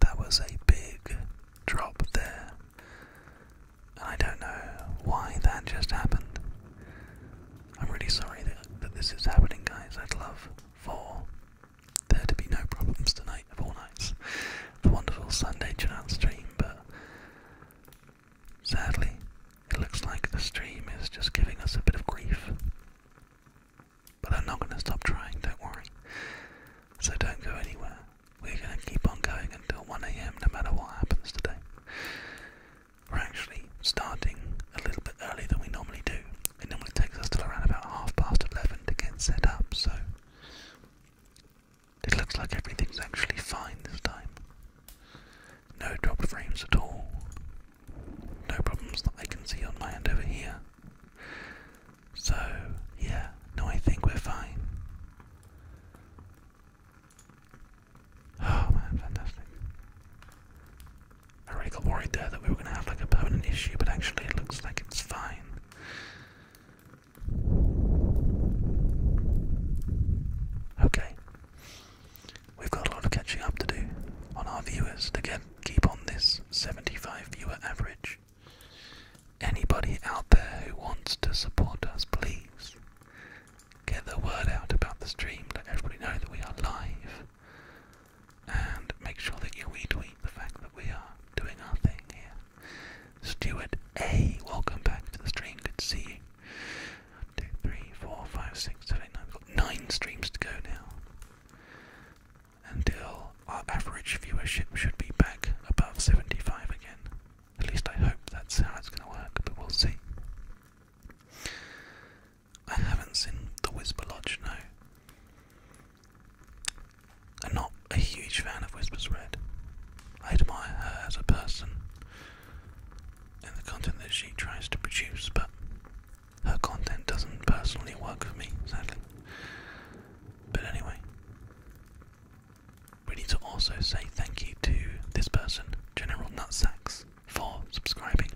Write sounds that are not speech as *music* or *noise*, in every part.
That was a big drop there. I don't know why that just happened. I'm really sorry that, this is happening, guys. I'd love for there to be no problems tonight, of all nights. The wonderful Sunday channel stream, but sadly, it looks like the stream is just giving us a bit of grief. But I'm not going to stop trying, don't worry. So don't go anywhere. We're going to keep on going until 1am no matter what happens today. We're actually starting a little bit earlier than we normally do. It normally takes us till around about half past 11 to get set up, so it looks like everything's actually fine this time. No dropped frames at all no problems that I can see on my end over here. So, yeah, no, I think we're fine. Oh man, fantastic. I really got worried there that we were going to have like a permanent issue, but actually it looks like it's fine. Okay. We've got a lot of catching up to do on our viewers to get keep on this 75 viewer average. Anybody out there who wants to support us, please get the word out about the stream, let everybody know that we are live, and make sure that you retweet the fact that we are doing our thing here. Stuart A, welcome back to the stream, good to see nine streams to go now until our average viewership should be back above 75 again. At least I hope that's how it's going to work, but we'll see. I haven't seen The Whisper Lodge, no. I'm not a huge fan of Whispers Red. I admire her as a person and the content that she tries to produce, but her content doesn't personally work for me, sadly. But anyway, we need to also say thank you to this person, General Nutsacks, for subscribing,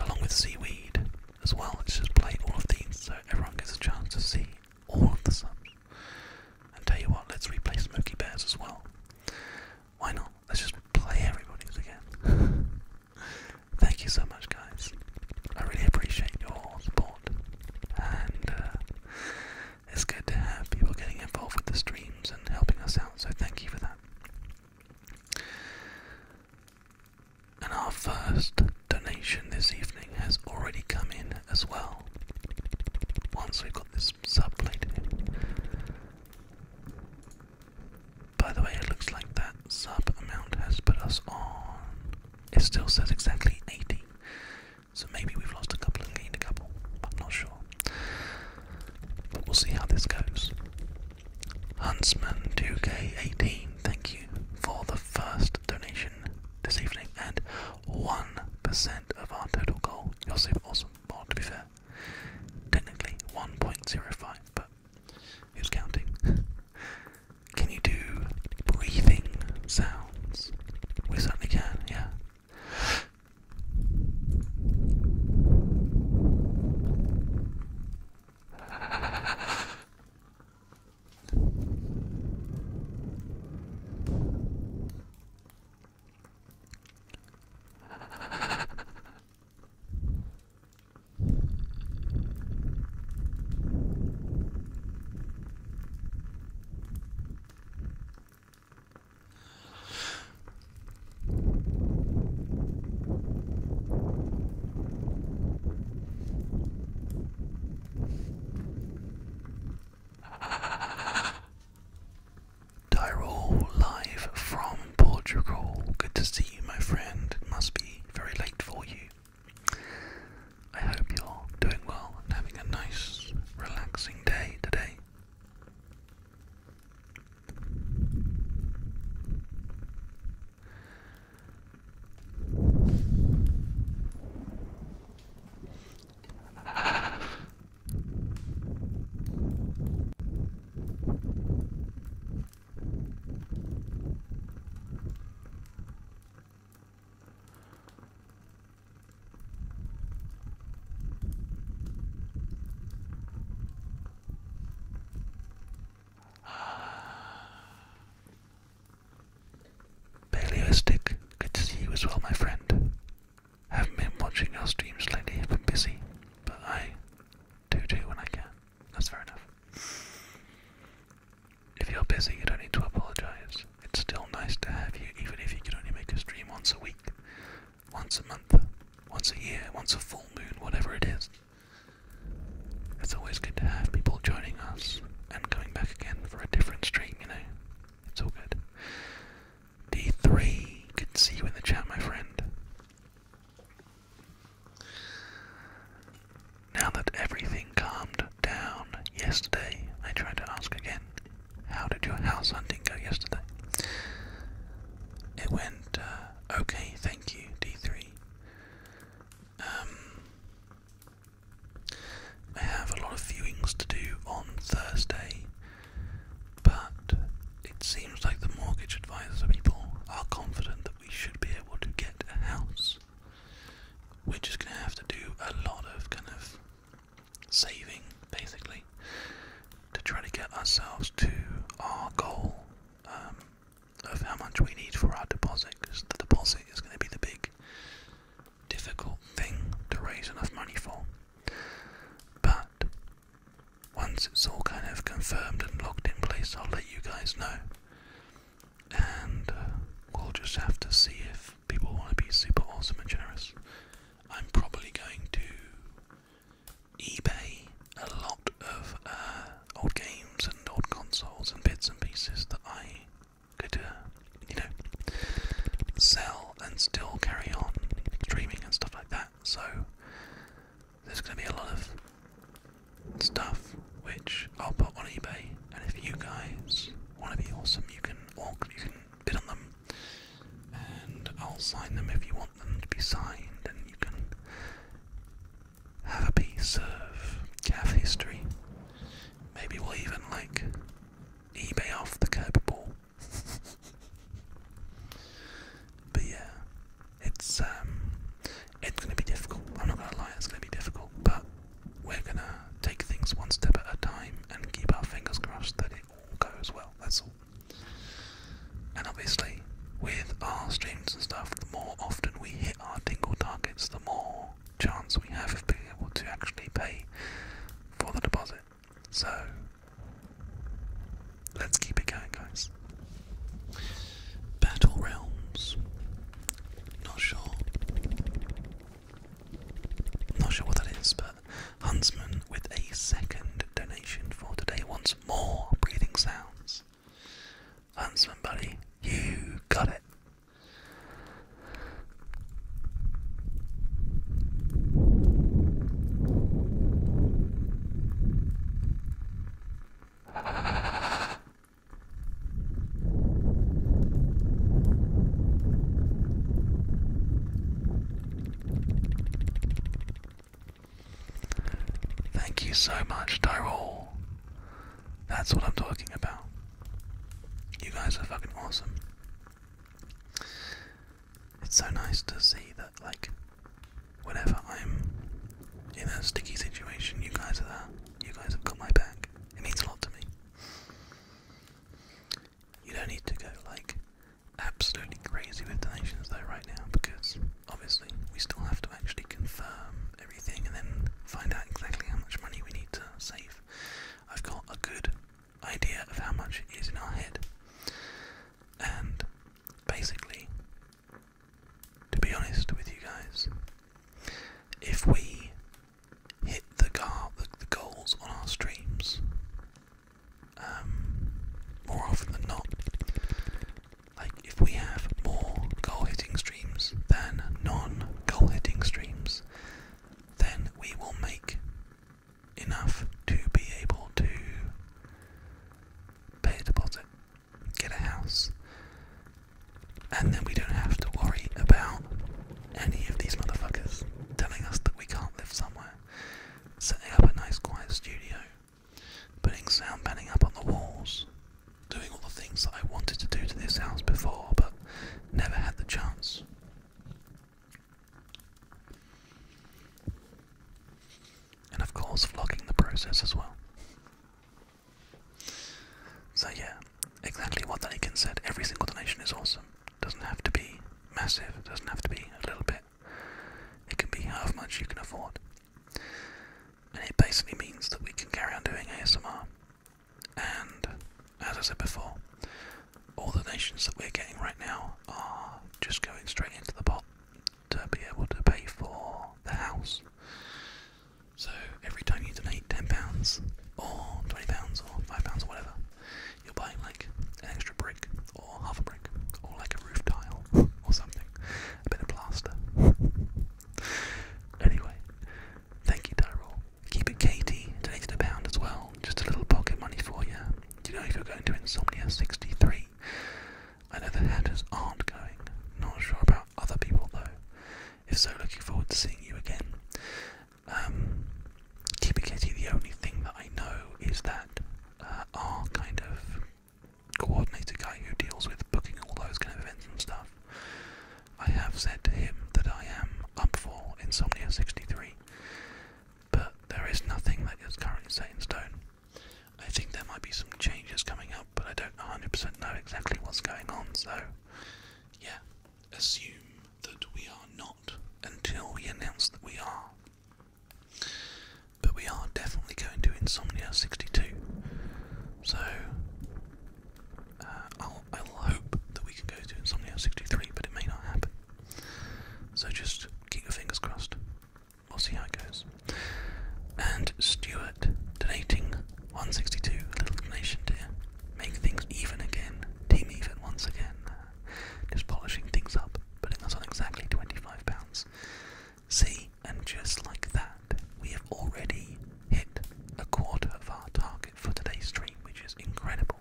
along with Seaweed as well. Let's just play all of these so everyone gets a chance to see all of the subs. And tell you what, let's replay Smoky Bears as well. Why not? Let's just play everybody's again. *laughs* Thank you so much, guys. I really appreciate your support, and uh, it's good to have people getting involved with the streams and helping us out. So thank you for that. And our first donation this evening has already come in as well. Once we've got this sub by the way, it looks like that sub amount has put us on. It still says exactly 80. So maybe we've lost a couple and gained a couple. I'm not sure. But we'll see how this goes. Huntsman2K18, thank you for the first donation this evening and 1% of our total goal. You're super awesome. Well, to be fair, technically 1.05, but Who's counting? *laughs* Can you do breathing sounds? We certainly can, yeah. Tyrol live from Portugal. Good to see you, my friend. must be very late for you. I hope you're doing well and having a nice, relaxing day today. Paleoistic, good to see you as well, my friend. Haven't been watching your streams lately, I've been busy, but I do do when I can. That's fair enough. If you're busy, you don't need to apologize. It's still nice to have you, even if you can only make a stream once a week, once a month, once a year, once a full moon, whatever it is. It's always good to have people joining us and coming back again for a different stream, you know? It's all good. D3, good to see you in the chat, my friend. Now that everything calmed down yesterday, I tried to ask again, how did your house hunting go yesterday? It went, uh, okay, thank you, D3. Um, I have a lot of viewings to do on Thursday, but it seems like the mortgage advisor people are confident that we should be able to get a house we're just going to have to do a lot of kind of saving, basically, to try to get ourselves to our goal um, of how much we need for our deposit, because the deposit is going to be the big, difficult thing to raise enough money for. But once it's all kind of confirmed and locked in place, I'll let you guys know and uh, we'll just have to see if people want to be super awesome and generous. I'm probably going to eBay a lot of uh, old games and old consoles and bits and pieces that I could, uh, you know, sell and still carry on streaming and stuff like that. So there's going to be a lot of stuff which I'll put on eBay, and if you guys want to be awesome, you can walk, you can bid on them, and I'll sign them if you want them to be signed, and you can have a piece of calf history. Maybe we'll even like eBay off the curb ball. *laughs* but yeah, it's um, it's gonna be difficult. I'm not gonna lie, it's gonna be difficult, but we're gonna take things one step at a time and keep our fingers crossed that it all goes well. That's all. And obviously, with our streams and stuff, the more often we hit our tingle targets, the more chance we have of being able to actually pay for the deposit. So, let's keep it going, guys. Battle Realms. Not sure. Not sure what that is, but Huntsman with a second donation for today wants more breathing sounds. Huntsman, buddy, you got it. Thank you so much, Tyrol. That's what I'm talking about. You guys are fucking awesome. It's so nice to see that, like, whenever I'm in a sticky situation, you guys are there. You guys have got my back. It means a lot to me. You don't need to go like absolutely crazy with donations though right now because obviously we still have to actually confirm everything and then find out exactly how much money we need to save. I've got a good idea of how much is in our head. And basically to be honest with you guys. If we hit the, goals on our streams, um, more often than not, like if we have more goal hitting streams than non goal hitting streams, then we will make enough to be able to pay a deposit get a house, and then we don't have to worry about any of these motherfuckers telling us that we can't live somewhere. Setting up a nice quiet studio, putting sound panning up on the walls, doing all the things that I wanted to do to this house before but never had the chance. And of course, vlogging the process as well. So yeah, exactly what Daniken said. Every single donation is awesome. Doesn't have to be massive. Doesn't have to be a little bit. It can be however much you can afford. And it basically means that we can carry on doing ASMR. And as I said before, all the donations that we're getting right now are just going straight into the pot to be able to pay for the house. So every time you donate ten pounds or twenty pounds or five pounds or whatever, you're buying like an extra brick or half a brick or like a roof tile *laughs* or something, a bit of plaster. *laughs* Anyway, thank you, Tyrol. Keep it, Katie. Donated a pound as well, just a little pocket money for you. you know if you're going to Insomnia 63? I know the Hatters aren't going. Not sure about other people though. If so, looking forward to seeing you again. Um, the only thing that I know is that uh, our kind of coordinator guy who deals with booking all those kind of events and stuff, I have said to him that I am up for Insomnia 63, but there is nothing that is currently set in stone. I think there might be some changes coming up, but I don't 100% know exactly what's going on, so yeah, assume that we are not until we announce that we are. But we are definitely going to Insomnia 62. So, uh, I'll, hope that we can go to Insomnia 63, but it may not happen. So just keep your fingers crossed. We'll see how it goes. And Stuart donating 162, a little donation to make things even again, team even once again. just polishing things up, putting us on exactly £25. See, and just like that, we have already hit a quarter of our target for today's stream, which is incredible.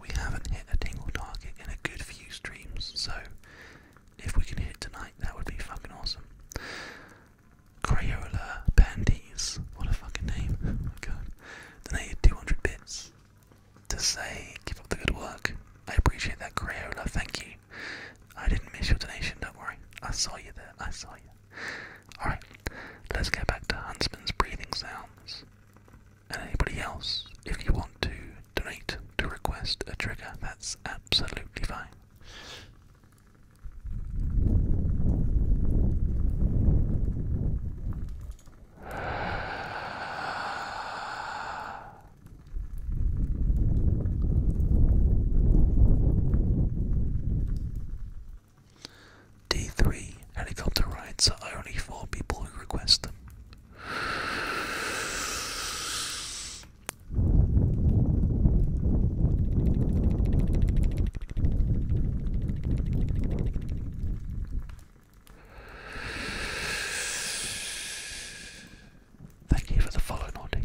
We haven't hit a single target in a good few streams, so if we can hit tonight, that would be fucking awesome. Crayola Bandies. What a fucking name. Oh god. Donated 200 bits to say, keep up the good work. I appreciate that, Crayola. Thank you. I didn't miss your donation, don't worry. I saw you there. I saw you. Alright, let's get back to Huntsman's breathing sounds. And anybody else, if you want to donate to request a trigger, that's absolutely fine. Day 3 Helicopter rides are only for people who request them. Thank you for the follow, Naughty.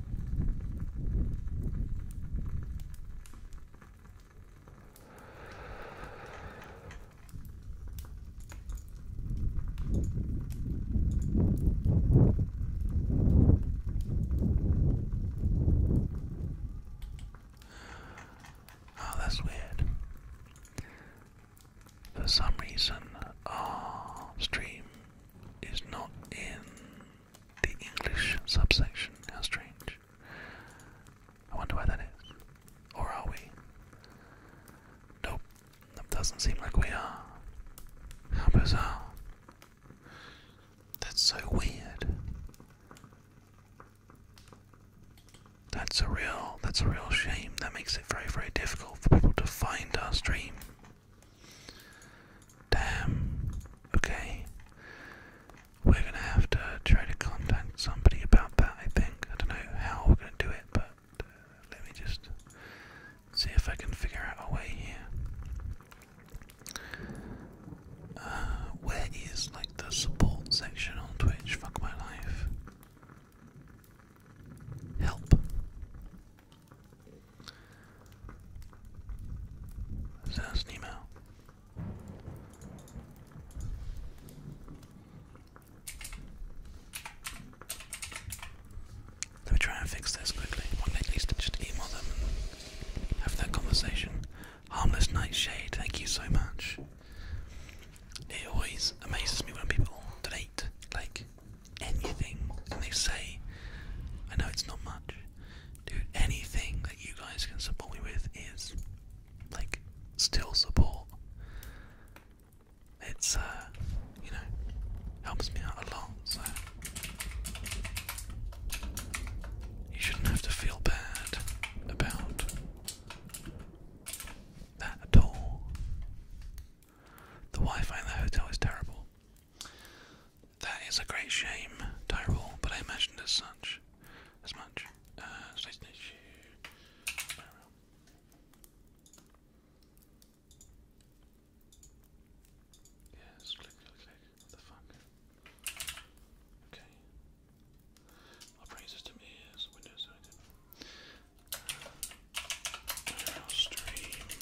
Oh, that's weird. For some reason, our stream is not in the English subsection. How strange. I wonder why that is. Or are we? Nope. That doesn't seem like we are. How bizarre. That's so weird. That's a real that's a real shame. That makes it very, very difficult for people to find our stream. Damn. Okay. We're gonna have to try to contact somebody about that, I think. I don't know how we're gonna do it, but uh, let me just see if I can figure out a way here. Uh, where is, like, the support section on Twitch? Fuck my life. Help. Sass Nemo. Let me try and fix this quickly. at least just email them and that conversation. Harmless Nightshade, thank you so much. It always amazes me when people donate like anything, and they say, I know it's not much, dude, anything that you guys can support me with is, like, still support. It's, uh, you know, helps me out a lot, so. You shouldn't have to feel bad about that at all. The Wi Fi in the hotel is terrible. That is a great shame, Tyrell, but I imagined as such. As much. Uh, yes, click, click, click. What the fuck? Okay. Operating system is Windows. Uh, stream.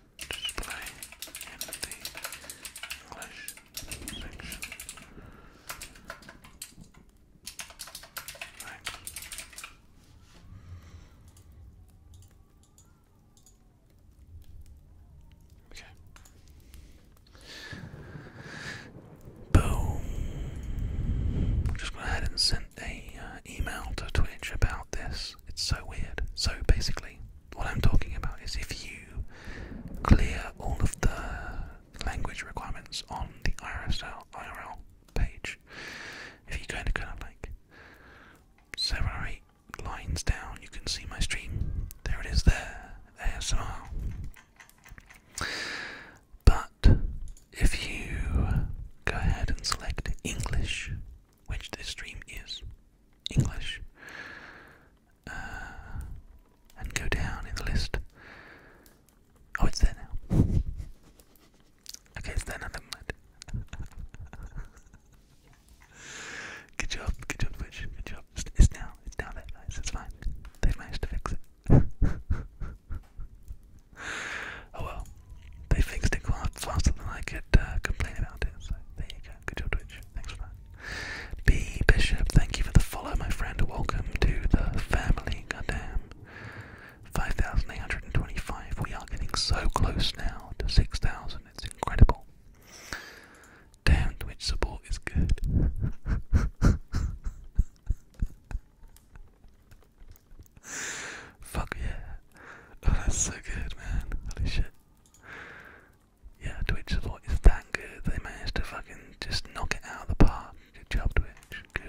display in Okay. Boom. just go ahead and send a uh, email to Twitch about this. It's so weird. So basically, what I'm talking about is if you clear all of the language requirements on the IRSL, IRL page, if you go into kind of like seven or eight lines down, you can see my stream. There it is there, ASMR. But if you go ahead and select English, which this stream is English, uh, and go down in the list. Oh, it's there now. *laughs* Okay, it's there now. *laughs* good job, good job, Twitch. Good job. It's, now. It's now there, It's fine. They managed to fix it. *laughs* oh well they fixed it quite faster than I could uh, complain about it. So there you go. Good job, Twitch. Thanks for that. B Bishop, thank you for the follow, my friend. Welcome to the family. Goddamn. 5,825. We are getting so close now to 6,000. It's incredible. Damn, Twitch support is good. *laughs* Fuck yeah. Oh, that's so good, man. Holy shit. Yeah, Twitch support is that good. They managed to fucking just knock it out of the park. Good job, Twitch. Good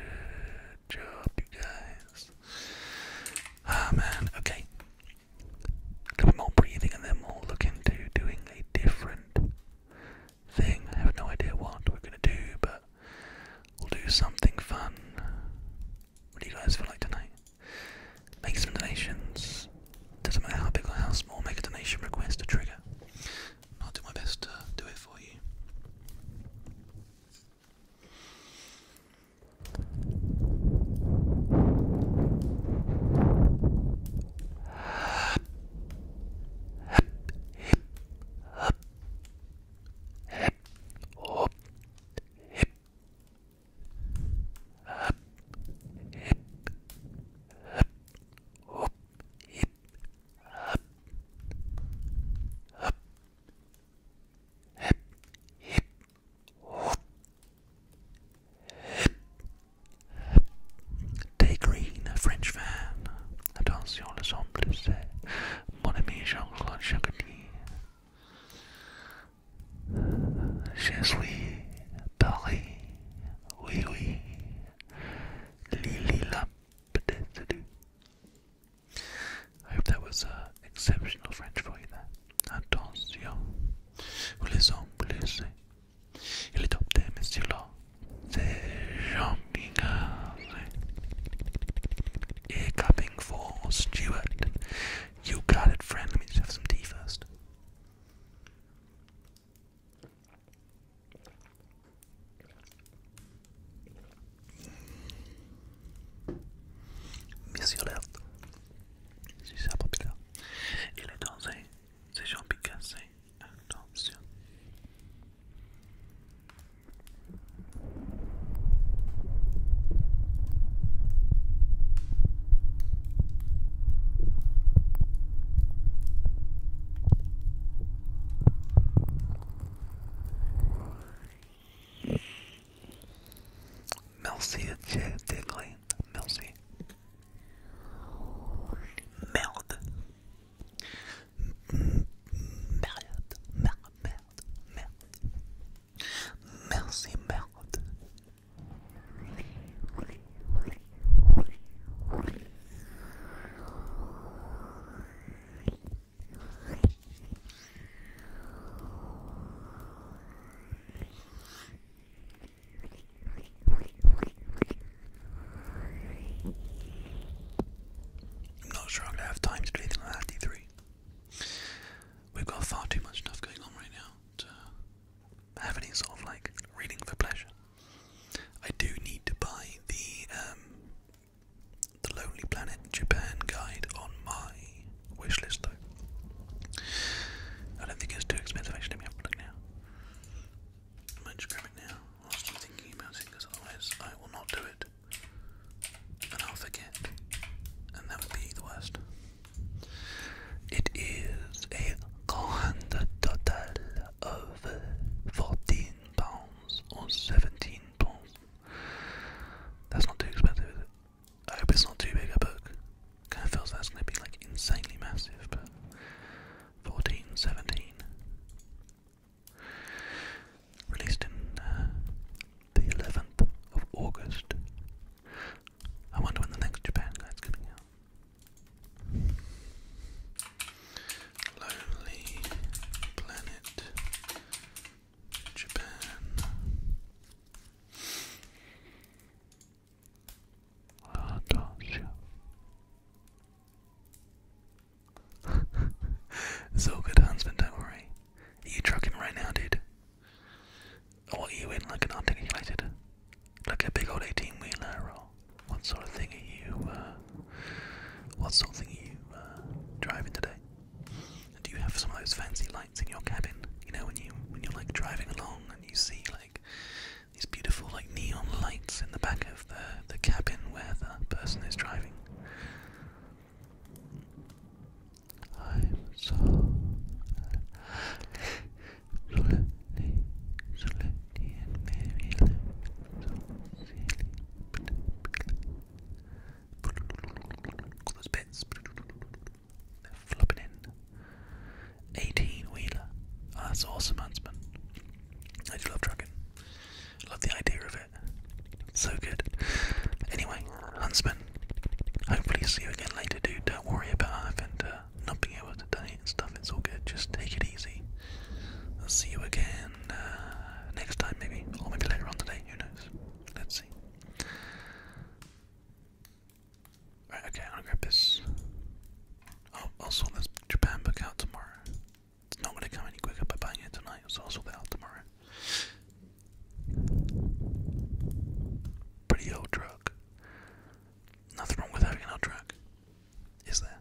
job, you guys. Ah, man. Okay. A bit more breathing, and then we'll look into doing a different thing. I have no idea what we're gonna do, but we'll do something fun. What do you guys feel like tonight? Make some donations. Doesn't matter how big or how small, make a donation request to trigger. I'll do my best to do it for you. Up, hip, up, up, hip, up, up, hip, hip, up, hip, hip. Des Green, a French fan. Attention, le son bleu, c'est mon ami Jean-Claude Chagny. Je suis Paris, oui oui, Lily Lampedesu. I hope that was an uh, exceptional French for you there. Attention, vous les embloussez. Il est top there, Monsieur Law. C'est Jean Bigard. Ear coming for Stuart. You got it, friend. Let me just have some tea first. Monsieur Lert, si ça populaire, il est dansé, c'est Jean Picasso, attention. Melcy and J Digley. Melcy. Meld. Meld. Meld. Meld. Meld. Melty melt. I'm not sure i have time to do anything like that, D3. We've got far too much stuff going on right now have any sort of like reading for pleasure. I do need to buy the um, the Lonely Planet Japan guide on my wish list though. I don't think it's too expensive actually. Let me have a look now. I might it now I'm thinking about it, because otherwise I will not do it, and I'll forget, and that would be the worst. It is a grand total of fourteen pounds or seventeen pounds. That's not too expensive, I hope it's not too big a book. Kind of feels that's gonna be like insanely massive, but fourteen, seventeen. Released in uh, the 11th of August I wonder when the next Japan guy's coming out. Lonely Planet Japan. Ah, *laughs* it's all good, Huntsman, don't worry. you trucking right now, dude? What you in like an articulated? Like a big old 18 wheeler or what sort of thing are you, uh, what sort of thing are you uh, driving today? Do you have some of those fancy lights in your cabin? You know, when, you, when you're like driving along and you see like these beautiful like neon lights in the back of the, the cabin where the person is driving. I'm so slowly, slowly, and maybe a little so silly. All those bits, they're flopping in. 18 wheeler. Oh, ah, that's awesome, Huntsman. I do love trucking. Love the idea of it. So good. Anyway, Huntsman hopefully see you again later, dude. Don't worry about i Ivan uh, not being able to date and stuff. It's all good. Just take it easy. I'll see you again uh, next time, maybe, or maybe later on today. Who knows? Let's see. Right. Okay. I'm gonna grab this. i oh, I'll sort this Japan book out tomorrow. It's not gonna come any quicker by buying it tonight, so I'll sort that out tomorrow. Pretty old drug. Nothing wrong with having an odd track, is there?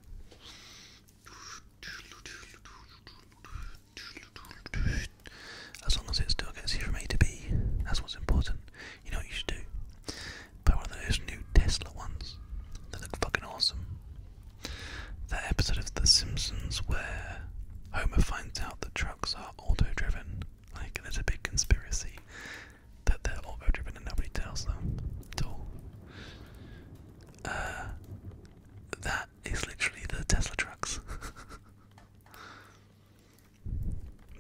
As long as it still gets you from A to B, that's what's important. You know what you should do? Buy one of those new Tesla ones. They look fucking awesome. That episode of The Simpsons where Homer finds out that trucks are auto driven, like, there's a big conspiracy that they're auto driven and nobody tells them at all. Uh, that is literally the Tesla trucks. *laughs*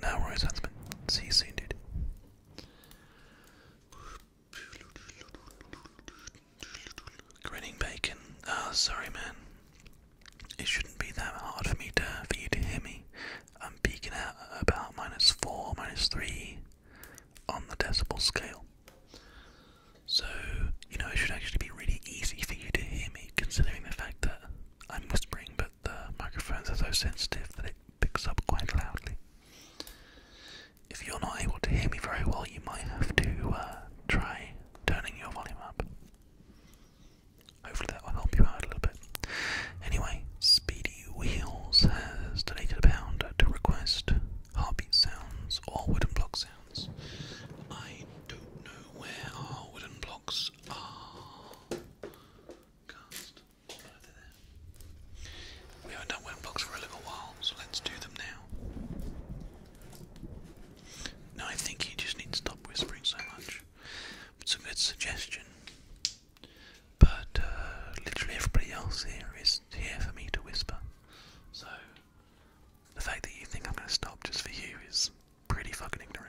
now, Roy Huntsman, see you soon, dude. Grinning bacon. oh, sorry, man. It shouldn't be that hard for me to for you to hear me. I'm peaking at about minus 4, minus 3 on the decibel scale. So, you know, it should actually be really easy for you to hear me, considering the fact that I'm whispering, but the microphones are so sensitive that it picks up quite loudly. If you're not able to hear me very well, you might have to uh, try turning your volume up. Hopefully that will help you out a little bit. Anyway, Speedy Wheels has donated a pound to request heartbeat sounds or wooden block sounds. I don't know where our wooden blocks are We haven't done wooden blocks for a little while, so let's do them now. No, I think you just need to stop whispering so much. it's a good suggestion. But uh, literally everybody else here is here for me to whisper. So the fact that you think I'm going to stop just for you is pretty fucking ignorant.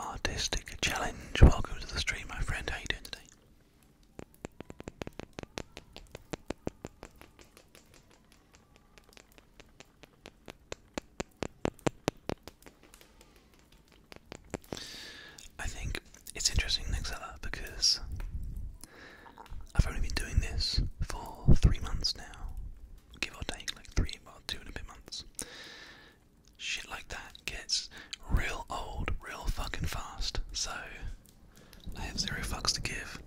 Artistic challenge. Welcome to the stream, my friend. How you doing today? I think it's interesting, Nexella, because I've only been doing this for three months now, give or take, like three, well, two and a bit months. Shit like that gets real old, real fucking fast, so I have zero fucks to give.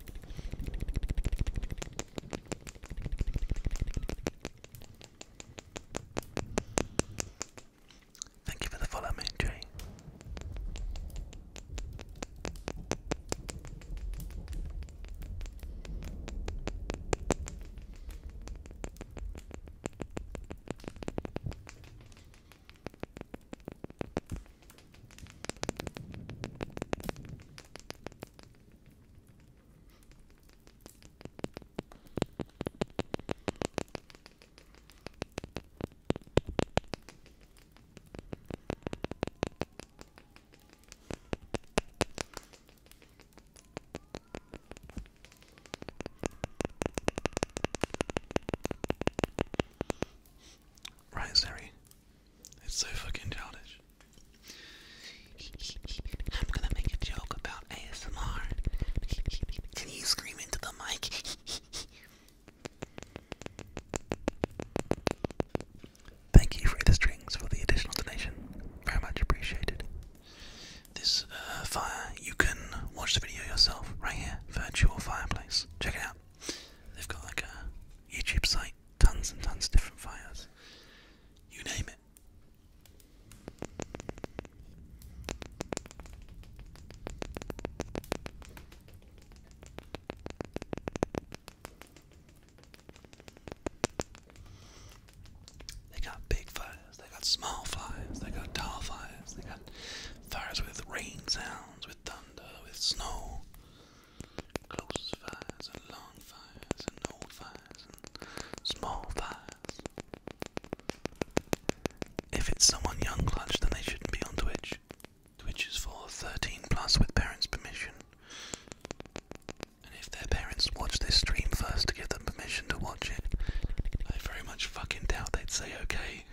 Thank you for the follow, Moon Tree. Right, Siri. It's so fucking childish. I'm gonna make a joke about ASMR. Can you scream into the mic? Thank you, Free the Strings, for the additional donation. Very much appreciated. This uh, fire, you can watch the video yourself right here, Virtual Fireplace. Check it out. They've got like a YouTube site, tons and tons of different fires. You name it. They got big fires, they got small fires, they got tall fires, they got fires with rain sounds, with thunder, with snow. Close fires and long fires and old fires and small fires if it's someone young clutch, then they shouldn't be on Twitch. Twitch is for 13 plus with parents' permission. And if their parents watch this stream first to give them permission to watch it, I very much fucking doubt they'd say okay.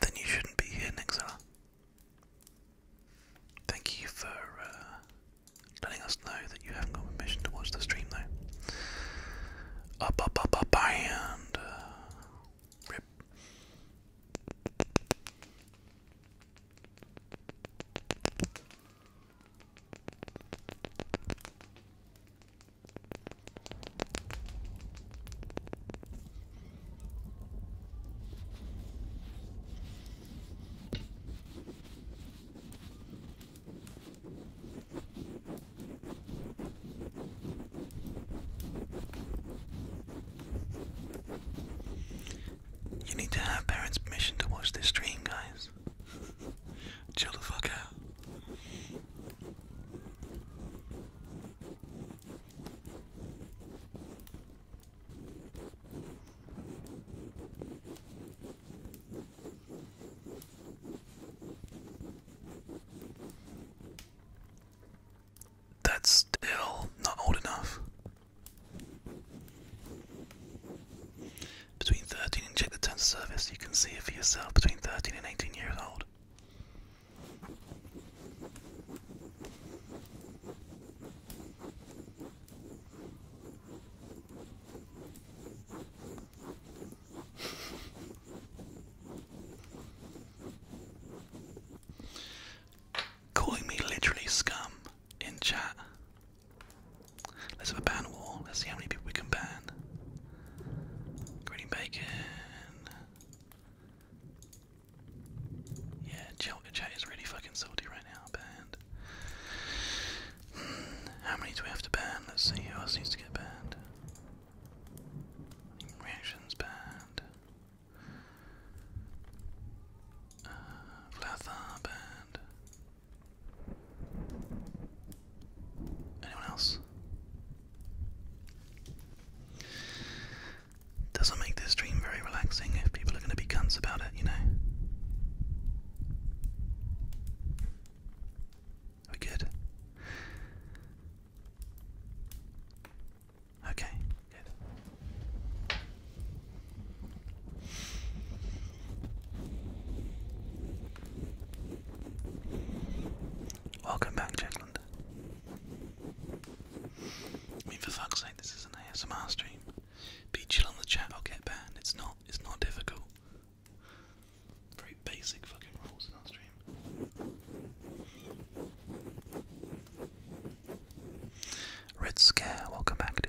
Then you shouldn't be here, Nixella. Thank you for uh, letting us know that you haven't got permission to watch the stream, though. Up, up, up, up, and uh, rip. You need to have parents' permission to watch this stream, guys. Chill the fuck out. That's still not old enough. Between 13 check the terms of service, you can see it for yourself between 13 and 18 years old. Calling me literally scum in chat. Let's have a ban wall. Let's see how many people we can ban. Green bacon. Yeah, chat is really fucking salty right now, banned. Hmm, how many do we have to ban? Let's see who else needs to get banned. Reactions banned. Uh, banned. Anyone else? Doesn't make this dream very relaxing if people are going to be cunts about it, you know. We good? Okay, good. Welcome back, Jackland. I mean, for fuck's sake, this is an ASMR stream. Be chill on the chat, I'll get banned. It's not, it's not difficult. Very basic fucking rules in our stream. Red Scare, welcome back, dude.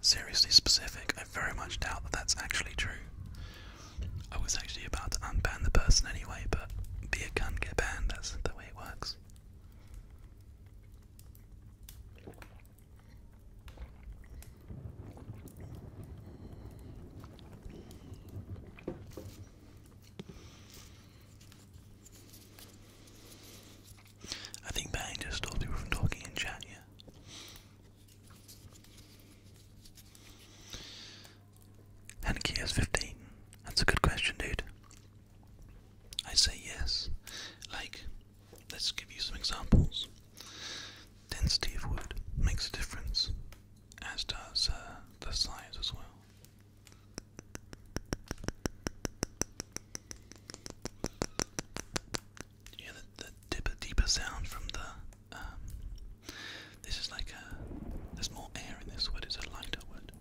Seriously specific, I very much doubt that that's actually true. I was actually about to unban the person anyway, but be a cunt, get banned, that's the way it works. I think Bang just stops people from talking in chat, yeah. Hanky 15. That's a good question, dude. I say yes. Like, let's give you some examples. Density of wood makes a difference, as does uh, the size as well. Yeah, the, deeper, deeper sound from the. Um, this is like a. There's more air in this word. It's a lighter word.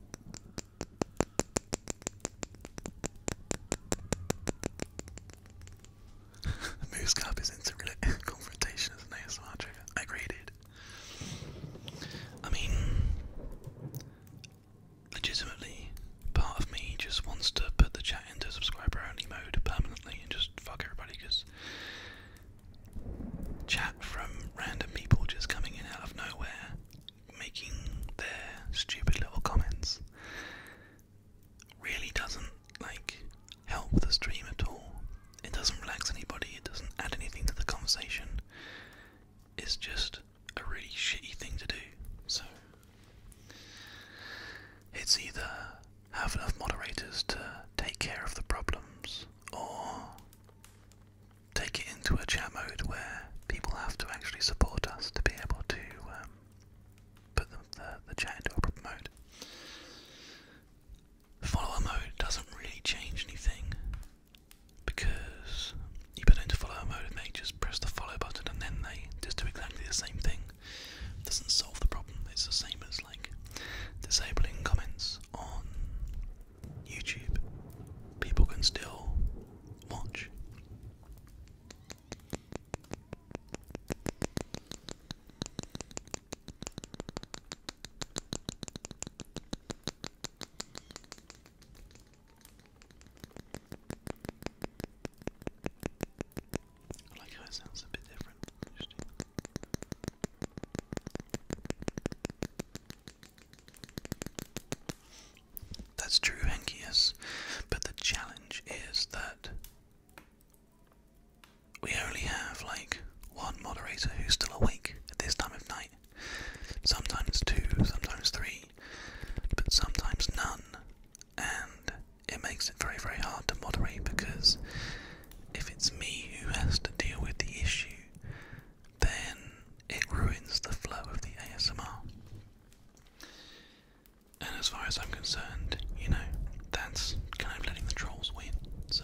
Moose Cup is into *laughs* confrontation as an ASMR trigger. I agreed. I mean, legitimately, part of me just wants to put the chat into subscriber only mode permanently and just fuck everybody because chat from random people just coming in out of nowhere, making their stupid little comments, really doesn't like help the stream at all. It doesn't relax anybody, it doesn't add anything to the conversation. It's just a really shitty thing to do. So it's either have enough moderators to take care of the problems or take it into a chat mode where people have to actually support us to be able to um, put the, the chat into a proper mode. Follower mode doesn't really change anything because you put it into follow mode and they just press the follow button and then they just do exactly the same thing. doesn't solve the problem. It's the same as like disabling comments on YouTube. People can still watch. That's true, Henkias. But the challenge is that we only have like one moderator who's still awake at this time of night sometimes two, sometimes three, but sometimes none. And it makes it very, very hard to moderate because if it's me who has to deal with the issue, then it ruins the flow of the ASMR. And as far as I'm concerned, you know, that's kind of letting the trolls win, so.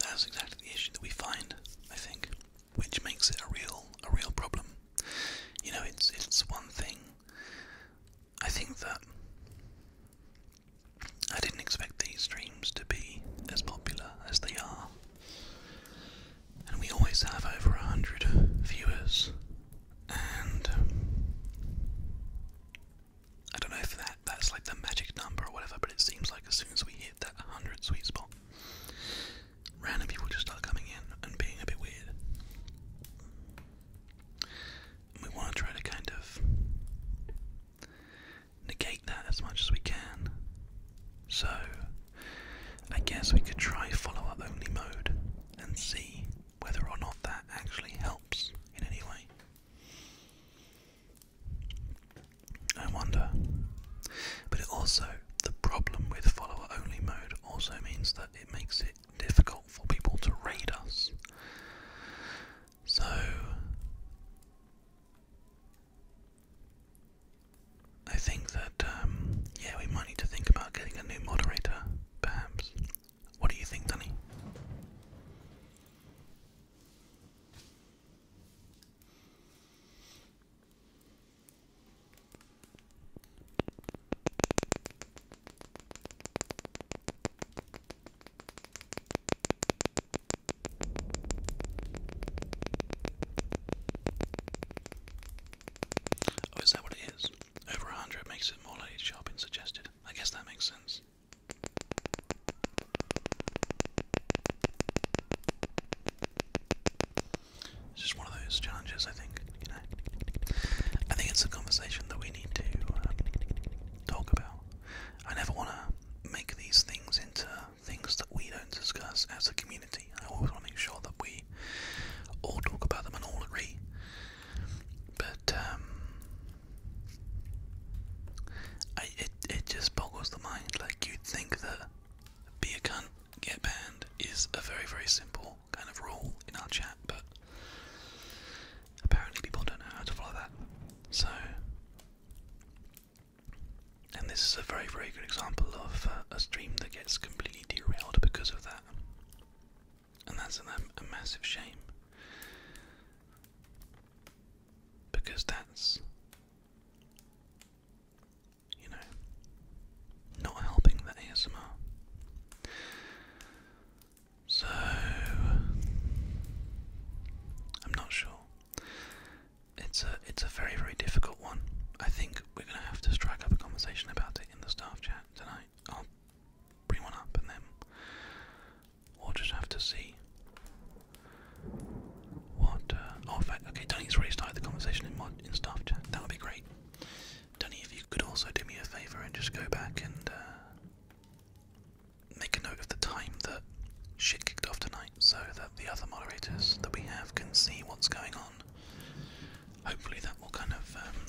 That's exactly the issue that we find, I think, which makes it a real a real problem. You know, it's it's one thing. I think that I didn't expect these dreams to be as popular as they are and we always have over a hundred viewers. And um, I don't know if that that's like the magic number or whatever, but it seems like as soon as we hit that hundred sweet spot, random people just start coming in and being a bit weird. we want to try to kind of negate that as much as we can. So I guess we could try follow up only mode and see whether or not that actually helps in any way. I wonder. But it also, the problem with follow-up only mode also means that it makes it difficult for people to raid us. So, I think that, um, yeah, we might need to think about getting a new moderator, perhaps. What do you think, Danny? Oh, is that what it is? Over 100 makes it more likely shopping suggested. I guess that makes sense. It's just one of those challenges, I think. I think it's a conversation that we need to um, talk about. I never want to make these things into things that we don't discuss as a community. I always want to make sure that we all talk about them and all agree. But um, it it just boggles the mind. Like you'd think that be a cunt, get banned is a very very simple kind of rule in our chat, but apparently people don't know how to follow that. So and this is a very, very good example of uh, a stream that gets completely derailed because of that. And that's um, a massive shame. Because that's, you know, not helping the ASMR. So, I'm not sure. It's a it's a very very difficult one. I think we're gonna have to strike up a conversation about it in the staff chat tonight. I'll bring one up and then we'll just have to see what. Uh, oh, okay, Dunny's already the conversation in mod in staff That would be great. Dunny, if you could also do me a favor and just go back and uh, make a note of the time that shit kicked off tonight, so that the other moderators that we have can see what's going Hopefully, that will kind of um,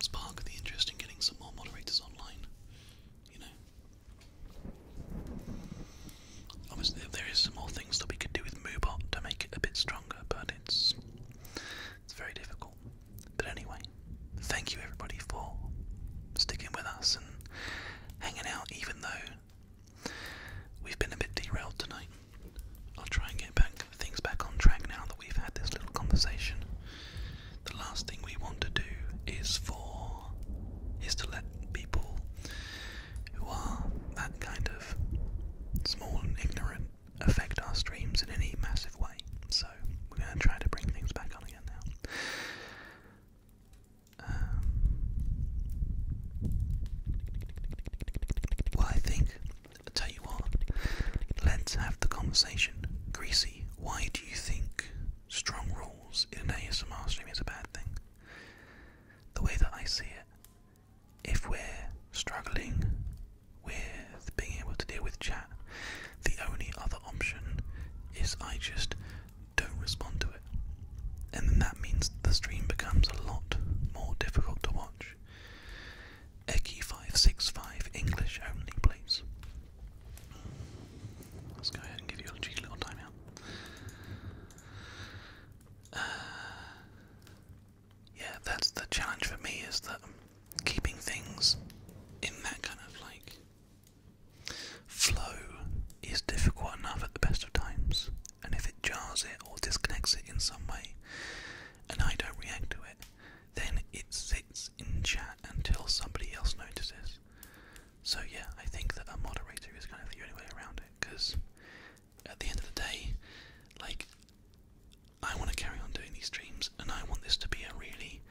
spark the interest in getting some more moderators online. You know, obviously, there is some more things that we could do with Moobot to make it a bit stronger, but it's it's very difficult. But anyway, thank you everybody for sticking with us and hanging out, even though We've been a bit derailed tonight. I'll try and get back things back on track now that we've had this little conversation. The last thing we want to do is for is to let people who are that kind of small and ignorant affect our streams in any massive way. So we're gonna try to bring things back on again now. Um, well, I think, I'll tell you what, let's have the conversation. Greasy, why do you think strong rules in an ASMR stream is a bad thing? The way that I see it, if we're struggling with being able to deal with chat, the only other option is I just don't respond to it. And then that means the stream becomes a lot more difficult to watch. Eki 565 English only, please. Let's go ahead and give you a little timeout. Uh, yeah, that's the challenge for me is that keeping things in that kind of like flow is difficult enough at the best of times and if it jars it or disconnects it in some way and I don't react to it, then it sits in chat until somebody else notices. So, yeah, I think that a moderator is kind of the only way around it because at the end of the day, like, I want to carry on doing these streams and I want this to be a really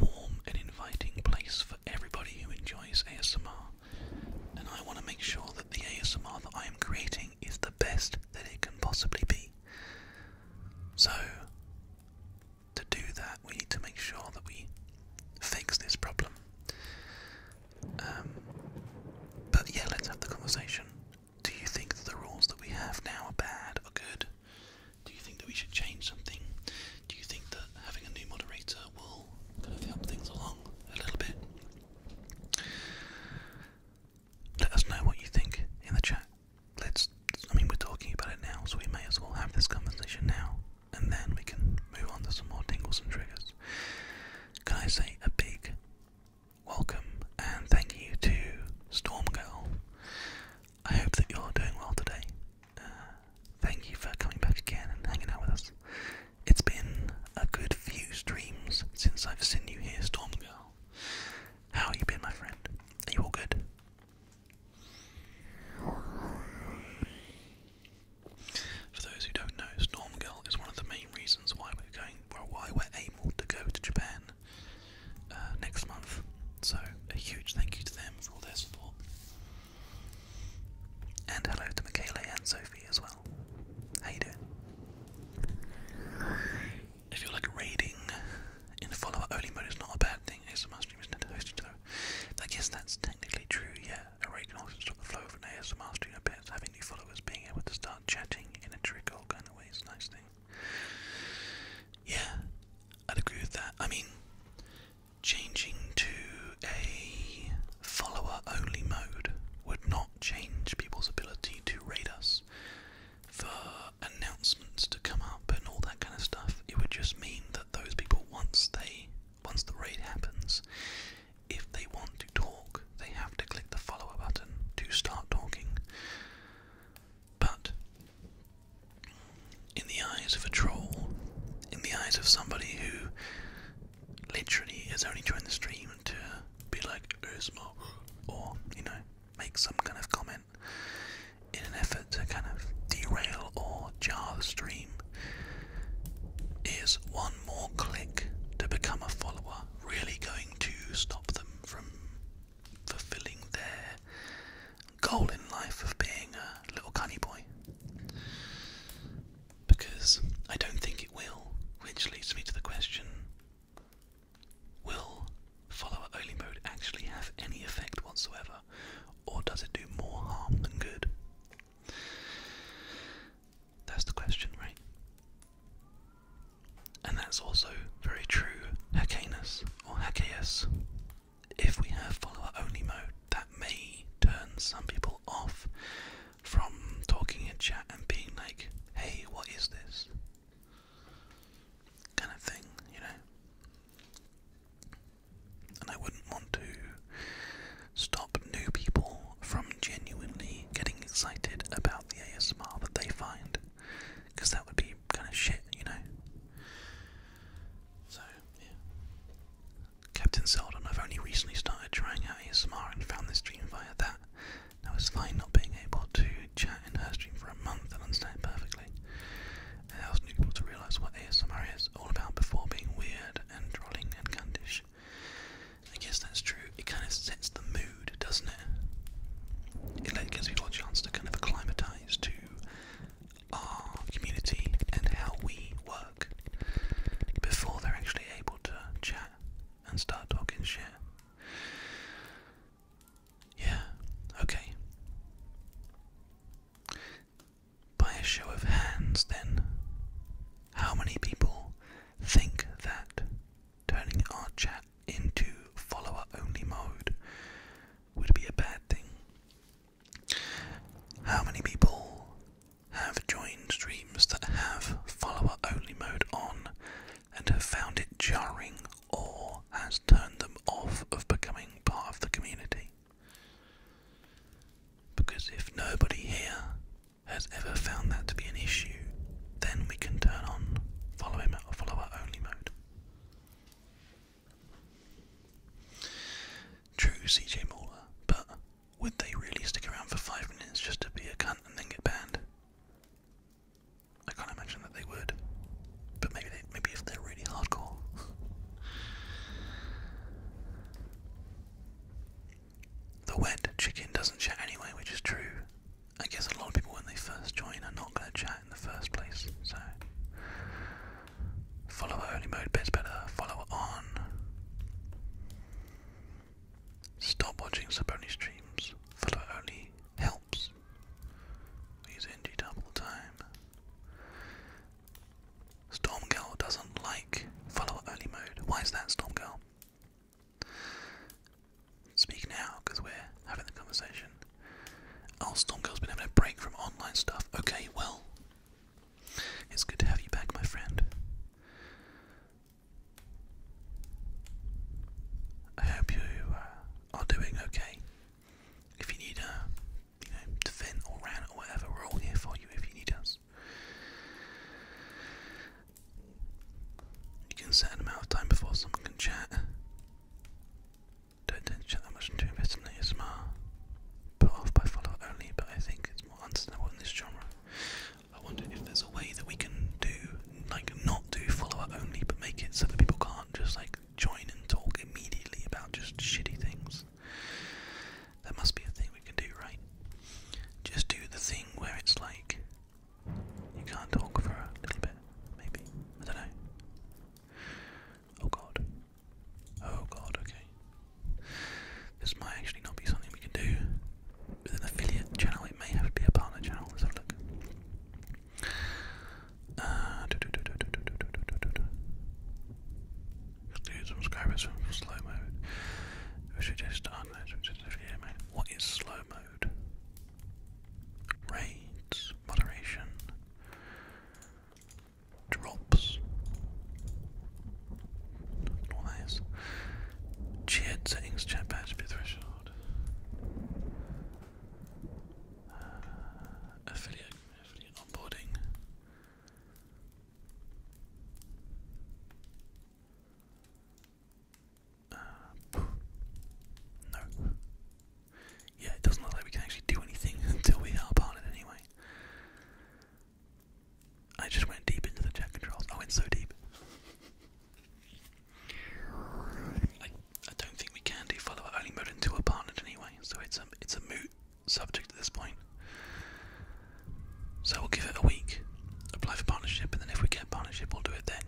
warm and inviting place for everybody who enjoys ASMR and I want to make sure that the ASMR that I am creating is the best that it can possibly be. So, to do that, we need to make sure that we fix this problem. Um, but yeah, let's have the conversation. Do you think that the rules that we have now are bad or good? Do you think that we should change something? Do you think that having a new moderator will kind of help things along a little bit? Let us know what you think in the chat. Let's, I mean, we're talking about it now, so we may as well have this conversation now, and then we can move on to some more tingles and triggers. Can I say a big welcome and thank you to Stormgirl? I hope that you're doing well today. Uh, thank you for coming back again and hanging out with us. It's been a good few streams since I've seen you here, Storm Girl. How you been, my friend? Are you all good? For those who don't know, Storm Girl is one of the main reasons why we're going, well, why we're able to go to Japan uh, next month. So a huge thank you to them for all their support, and hello to Michaela and Sophie as well well. How If you're like raiding in the follower only mode, it's not a bad thing. ASMR stream is not hosted, so I guess that's technically true. Yeah, a raid also stop the flow of an ASMR stream a bit. Having new followers being able to start chatting in a trickle kind of way is nice thing. Yeah, I'd agree with that. I mean, changing to a follower only mode would not change people's ability to rate us for announcements to come up and all that kind of stuff. It would just mean that those people once they once the raid happens, if they want to talk, they have to click the follower button to start talking. But in the eyes of a troll, in the eyes of somebody who literally is only during the stream to be like Usma or, you know, make some kind of comment in an effort to kind of derail or jar the stream. Is one more click to become a follower really going to stop them from fulfilling their goal in life of being a little cunny boy? because I don't think it will, which leads me to the question will follower only mode actually have any effect whatsoever, or does it do more harm than good? That's the question, right? And that's also very true, Haccanus or Hackeus. If we have follower only mode, that may turn some people off from talking in chat and being like, hey, what is this? Kind of thing, you know? And I wouldn't want to stop new people from genuinely getting excited about the ASMR that they find, because that would be kind of shit, you know? So, yeah. Captain Seldon, I've only recently started trying out ASMR and found this stream via that. Now it's fine not being able to chat in her stream for a month and understand perfectly. It helps new people to realise what ASMR is all about before being weird and trolling and cundish. I guess that's true. It kind of sets the mood, doesn't it? It gives people a chance to kind of acclimatise to our community and how we work before they're actually able to chat and start talking shit. Yeah, okay. By a show of hands, then, how many people think that turning our chat into follower only mode would be a bad thing? How many people have joined streams that have follower only mode on and have found it jarring or has turned them off of becoming part of the community. Because if nobody here has ever found that to be an issue, then we can turn on follower only mode. True CJ Mauler, but would they really stick around for five minutes just to be a cunt and then get banned? I can't imagine that they would. But maybe maybe if they're really hardcore. *laughs* the wet chicken doesn't chat anyway, which is true. I guess a lot of people when they first join are not gonna chat in the first place, so follower only mode bits better, follower on. Stop watching Saboni streams. Follow only helps. We use NG all the time. Stormgirl doesn't like follow only mode. Why is that, Stormgirl? Speaking now, because we're having the conversation. Oh, Stormgirl's been having a break from online stuff. Okay, well, it's good to have you back, my friend. I hope you uh, are doing okay. If you need a, uh, you or rant or whatever, we're all here for you if you need us. You can set an amount of time before someone can chat. Don't chat that much into investment ASMR. Put off by follower only, but I think it's more understandable in this genre. I wonder if there's a way that we can do, like, not do follower only, but make it so that people can't just, like, join and talk immediately about just shitty things. That must be a thing we can do, right? Just do the thing where it's like you can't talk for a little bit, maybe. I don't know. Oh god. Oh god, okay. This might actually not be something we can do with an affiliate channel. It may have to be a partner channel. Let's have a look. Uh, do, do, do, do, do, do, do, do, do. Exclude subscribers from slow mode. We should just unload which is affiliate mode. What is slow mode? Raids, moderation, drops, all settings, chat patch, threshold. Uh, affiliate, affiliate onboarding. Uh, no. Yeah, it doesn't look like we can actually do anything *laughs* until we are part it anyway. I just went deep into the chat controls. I went so deep. I, don't think we can do follow only mode until we're partnered anyway, so it's a it's a moot subject at this point. So we'll give it a week, apply for partnership, and then if we get partnership, we'll do it then.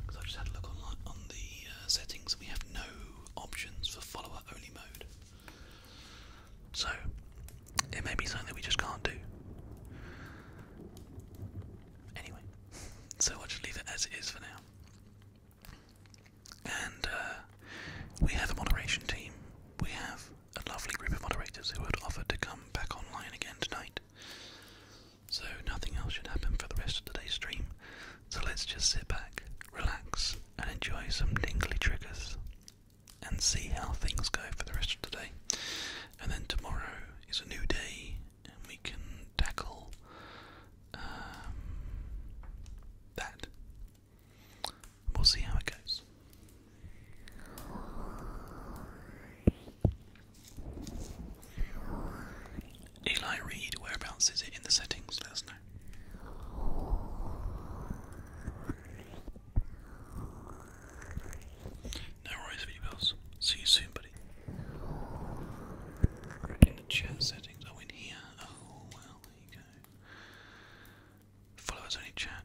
Because I just had a look online on the uh, settings, and we have no options for follower only mode. So it may be something that we just can't do. Anyway, *laughs* so I'll just leave it as it is for now. And uh, we have a moderation team. We have a lovely group of moderators who had offered to come back online again tonight. So nothing else should happen for the rest of today's stream. So let's just sit back, relax, and enjoy some tingly triggers and see how things go for the rest of today, And then tomorrow is a new day, and we can tackle um, that. We'll see how it goes. Eli Reed, whereabouts is it in the settings? Let us know. No worries, v See you soon, buddy. chat settings, oh, in here. Oh, well, there you go. Followers only chat.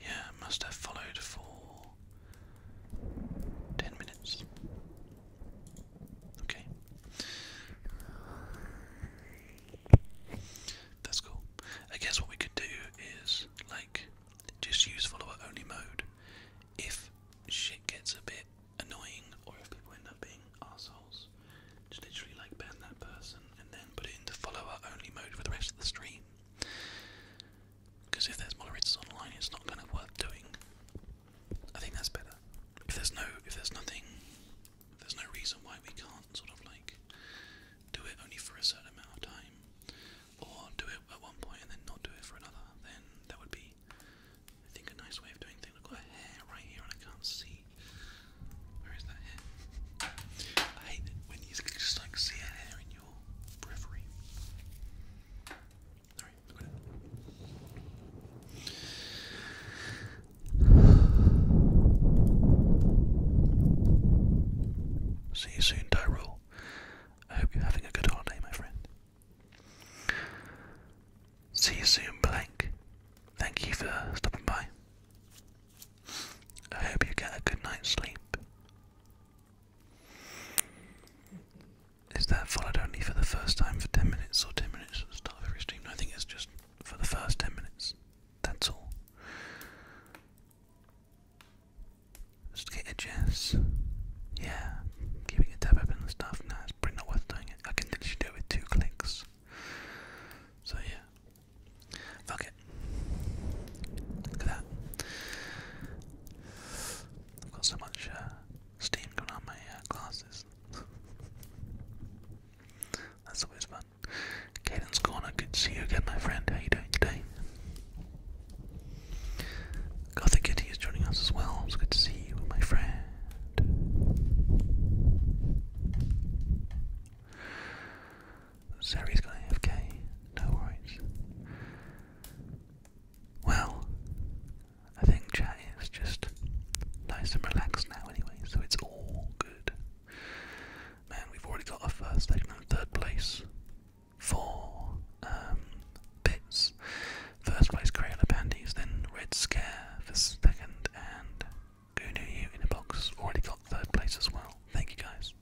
Yeah, must have followed for 10 minutes. Okay. That's cool. I guess what we could do is, like, just use follower only mode. If shit gets a bit annoying or if people end up being assholes, just literally like ban that person and then put it into follower only mode for the rest of the stream. Because if there's moderators online, it's not kind of worth doing. I think that's better. If there's no, if there's nothing, if there's no reason why we can't sort of like do it only for a certain amount of time or do it at one point and then not do it for another, then that would be, I think, a nice way of doing things. I've got a hair right here and I can't see. Where is that hair? I hate it when you just like see a hair in your periphery. Sorry, See you soon, Tyrell. I hope you're having a good holiday, my friend. See you soon, blank. Thank you for stopping by. I hope you get a good night's sleep. Is that followed only for the first time for 10 minutes or 10 minutes at the every stream? I think it's just for the first 10 minutes. That's all. Just get a Jess, Yeah, keeping a tab open and stuff. No, it's pretty not worth doing it. I can literally do it with two clicks. So yeah, fuck it. Look at that. I've got so much uh, steam going on my uh, glasses. That's always fun. Caden's gone. good to see you again, my friend. How you doing today? Gothic Kitty is joining us as well. It's good to see you, my friend. Sari's got AFK. No worries. Well, I think chat is just nice and relaxed now, anyway, so it's all good. Man, we've already got our first, second, and third place four um, bits. First place Crayola Panties, then Red Scare for second, and Goo in a Box already got third place as well. Thank you guys.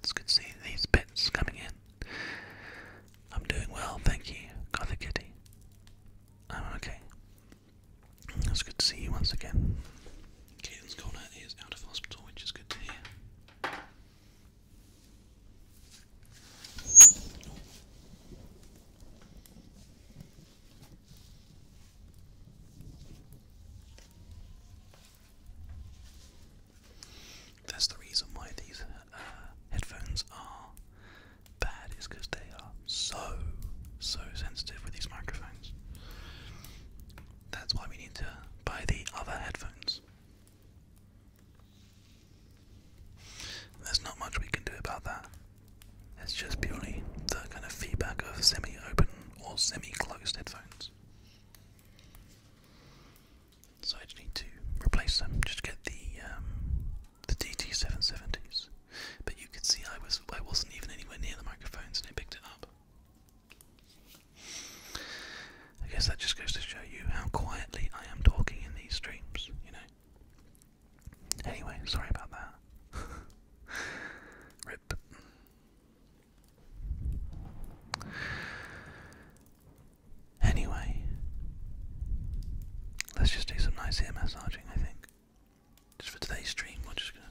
It's good to see these bits coming in. I'm doing well, thank you, Gothic Kitty. I'm um, okay. It's good to see you once again. Caden's Corner is out of hospital, which is good to hear. That's the reason why these uh, headphones are bad, is because they are so, so sensitive with these microphones. That's why we need to buy the other headphones. There's not much we can do about that. It's just purely the kind of feedback of semi open or semi closed headphones. So I just need to replace them, just get the um, the DT770s. But you could see I was I wasn't even anywhere near the microphones and it picked it up. I guess that just goes to show you how quietly I am talking in these streams, you know. Anyway, sorry about that. *laughs* Rip. Anyway, let's just do some nice ear massaging, I think. Just for today's stream, we're just gonna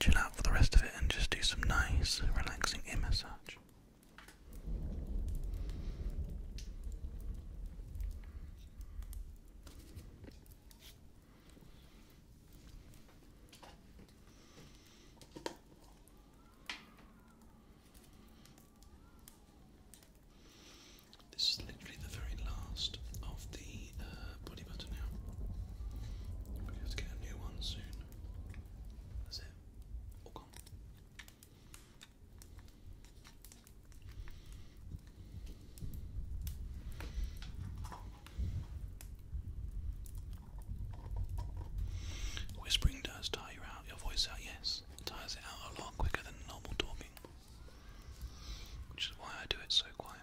chill out for the rest of it and just do some nice, relaxing ear massage. This is literally the very last of the uh, body butter now. We're to get a new one soon. Whispering does tire you out, your voice out, yes. It tires it out a lot quicker than normal talking. Which is why I do it so quietly.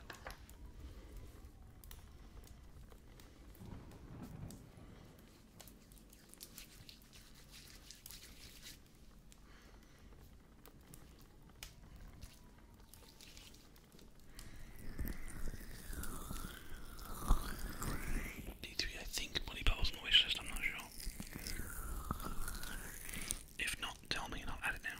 D3, I think, Bloody Battle's on wish list, I'm not sure. If not, tell me and I'll add it now.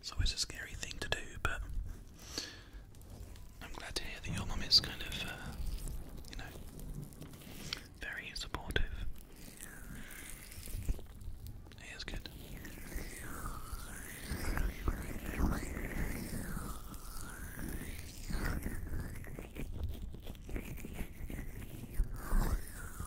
It's always a scary thing to do, but I'm glad to hear that your mum is kind of, uh, you know, very supportive. It is good.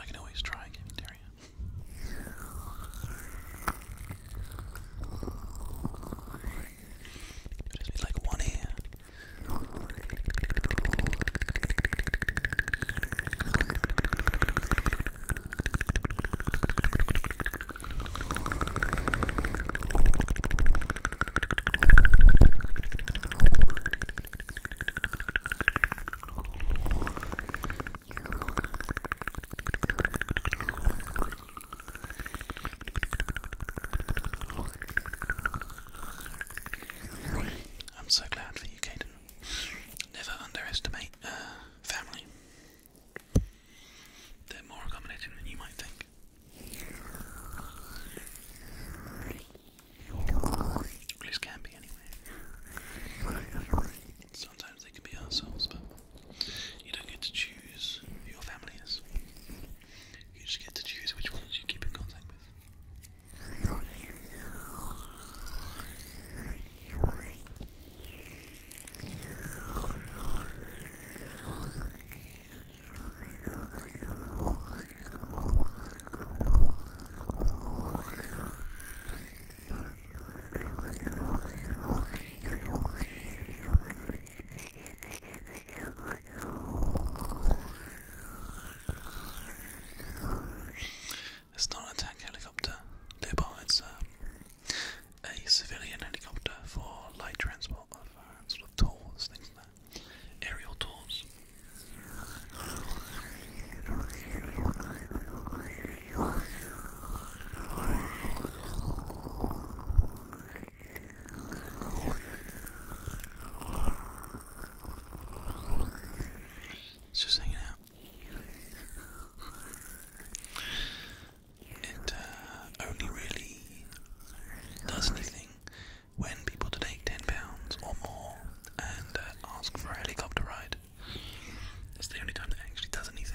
I can always try again, Daria. You just need like one hand. I'm so glad for you, Caden. Never underestimate uh, family. They're more accommodating than you might think. At least can be anyway. Sometimes they can be ourselves, but you don't get to choose your family You just get to choose which ones you keep in contact with. It's not an attack helicopter, Luba, it's uh, a, civilian helicopter for light transport of sort of tools, things aerial tools. It's just hanging out. It uh, only really does anything when people take £10 or more and uh, ask for a helicopter ride. That's the only time that actually does anything.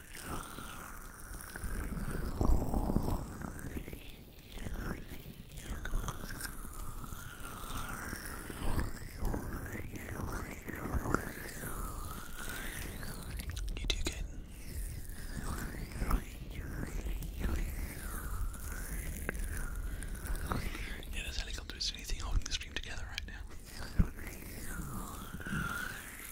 You do good. Yeah, this helicopter is the only thing holding the stream together right now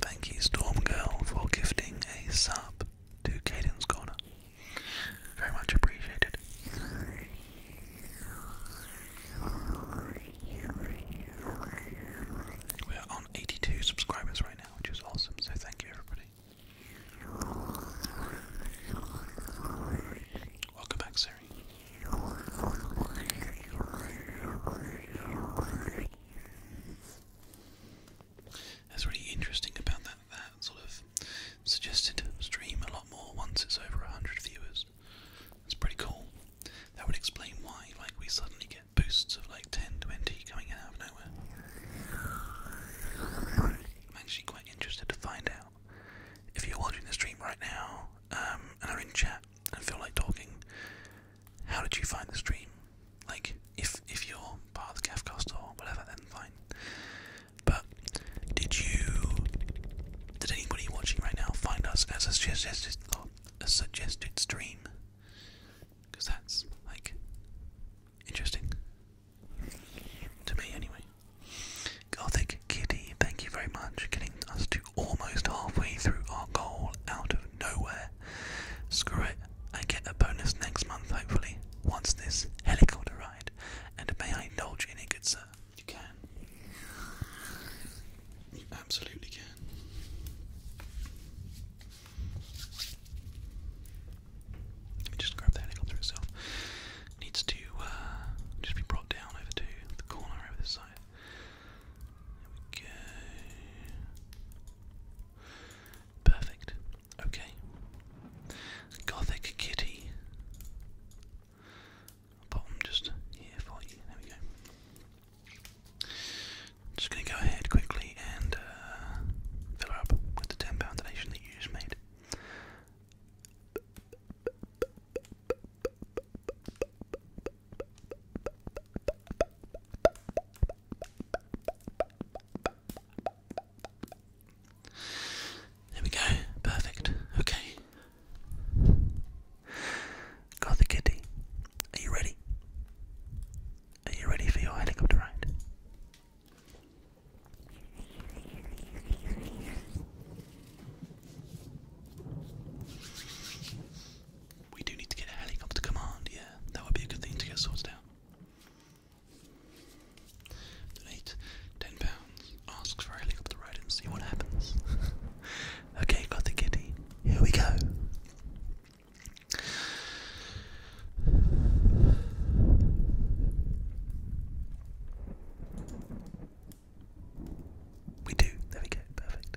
Thank you, Stormgirl, for gifting a sub to Caden's Corner. Very much appreciated. We are on 82 subscribers right which is awesome. So thank you, everybody. Welcome back, Siri. That's really interesting about that. That sort of suggested stream a lot more once it's over a hundred viewers. That's pretty cool. That would explain why, like, we suddenly get boosts of like 10, 20 coming out of nowhere. I'm actually quite interested to find out. If you're watching the stream right now um, and are in chat and feel like talking, how did you find the stream? Like, if if you're part of the Cafcast or whatever, then fine. But did you, did anybody watching right now find us as a suggested stream? Because that's, like, interesting. To me, anyway. Gothic Kitty, thank you very much. Getting us to almost halfway through our goal out of nowhere. Screw it. I get a bonus next month, hopefully, once this helicopter ride. And may I indulge in it, good sir? You can. You absolutely can. Let me just grab that angle through itself. needs to uh, just be brought down over to the corner over this side. There we go. Perfect. Okay. Gothic kitty. Bottom just here for you. There we go just going to go ahead quickly and uh, fill her up with the £10 donation that you just made. There we go, perfect. Okay. Got the kitty. Are you ready? Are you ready for your helicopter ride? We do need to get a helicopter command, yeah. That would be a good thing to get sorted out. Donate pounds. Ask for a helicopter ride and see what happens. *laughs* okay, got the kitty. Here we go. We do. There we go. Perfect.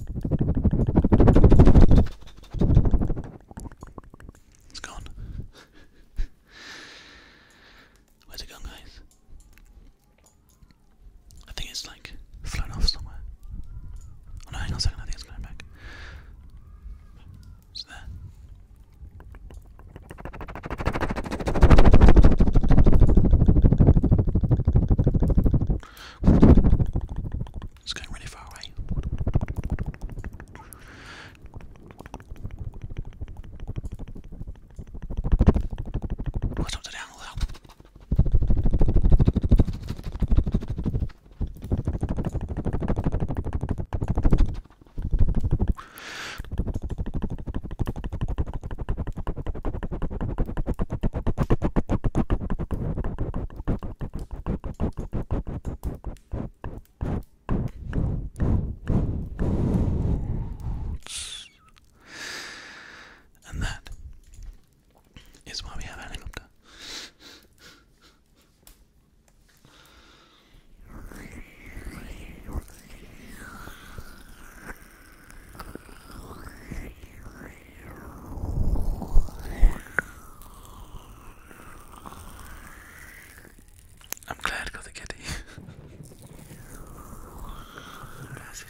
It's gone. *laughs* Where's it gone, guys? I think it's like flown off somewhere. Oh no, hang on a second, I think it's going back. It's there. It's going really far away. Do I talk it down loud? And that is why we have a helicopter. I'm glad I got the kitty. That's a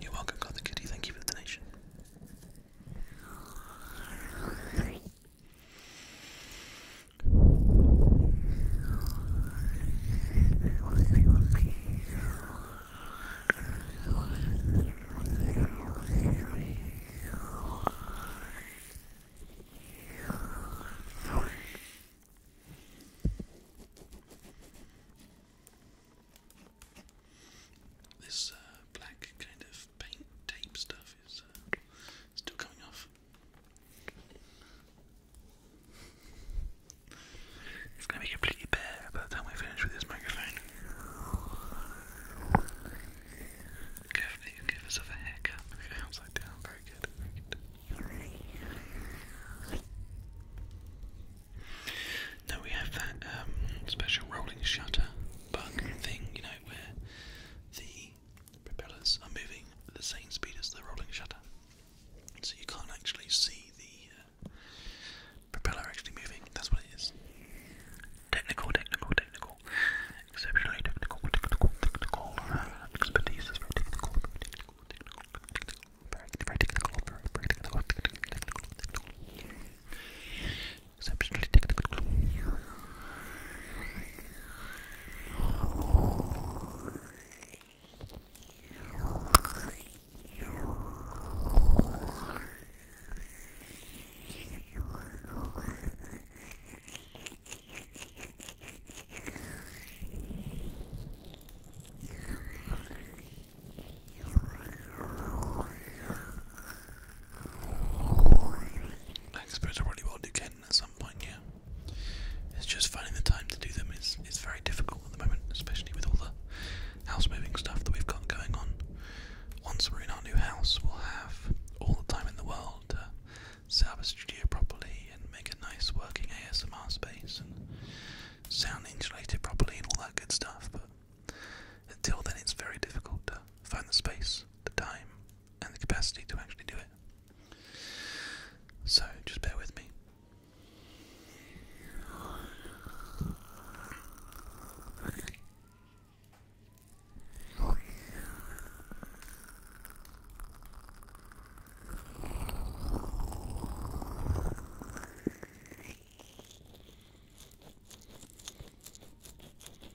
You're got the kitty. Thank you for the donation. This uh, black kind of paint tape stuff is uh, still coming off. It's gonna be completely bare by the time we finish with this microphone. Carefully give us a haircut. upside down, very good, Now we have that um, special rolling shutter bug thing, you know, where the propellers are moving at the same speed as the rolling shutter. So you can't actually see the uh, propeller actually moving. That's what it is. Technical, technical, technical. Exceptionally technical, technical, technical. Uh, expertise technical, technical, technical. Very, very technical, very, very technical, technical, technical exceptionally technical. I suppose I probably will do Ken at some point, yeah. It's just finding the time to do them is, is very difficult at the moment, especially with all the house moving stuff that we've got going on. Once we're in our new house, we'll have all the time in the world to set up a studio properly and make a nice working ASMR space and sound insulated properly and all that good stuff, but until then it's very difficult to find the space, the time, and the capacity to actually do it. So just bear with me.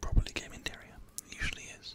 Probably game interior, usually is.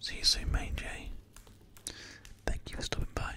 See you soon, Main J. Thank you for stopping by.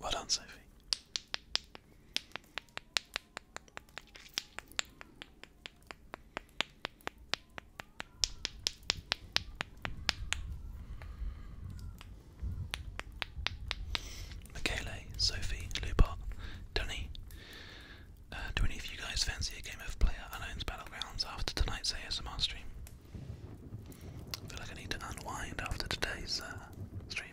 Well done, Sophie. Michele, Sophie, Lupot, Dunny. Uh, do any of you guys fancy a game of Player Unknown's Battlegrounds after tonight's ASMR stream? I feel like I need to unwind after today's uh, stream.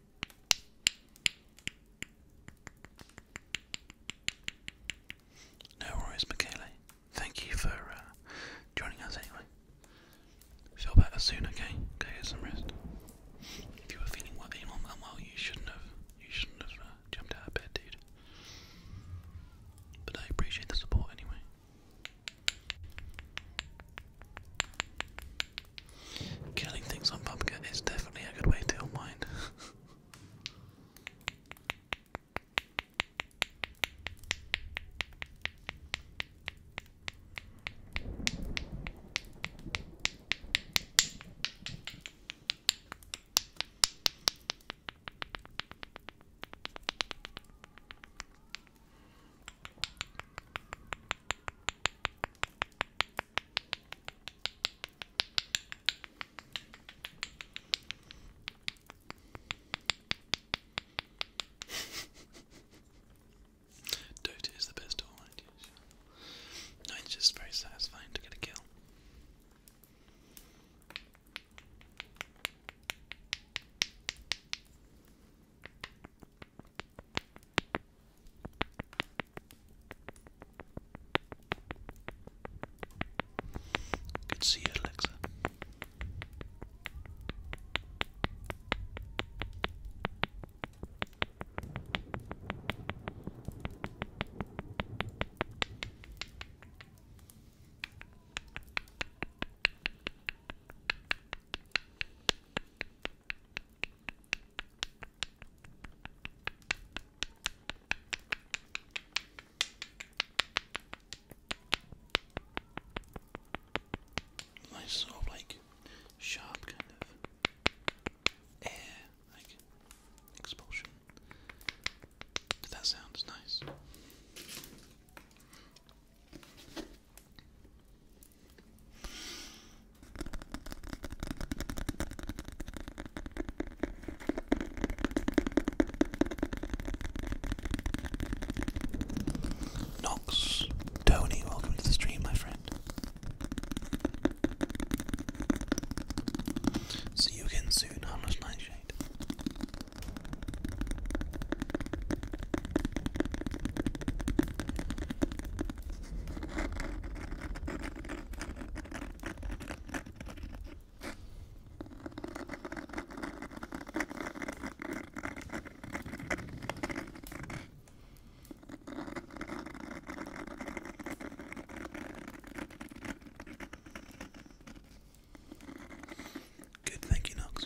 No worries, Michele. Thank you for uh, joining us anyway. Feel better soon, okay? Go get some rest. If you were feeling well, unwell, you shouldn't have. You shouldn't have uh, jumped out of bed, dude. But I appreciate the support anyway. Killing things on Pumpkin is definitely a good way to unwind. *laughs* Dota is the best all No, it's just very satisfying to get a kill. Good see you, Alexa. Nice sort of like sharp kind of air, like expulsion. But that sounds nice. Knox, Tony, welcome to the stream, my friend. See you again soon, harmless nightshade. Good, thank you, Knox.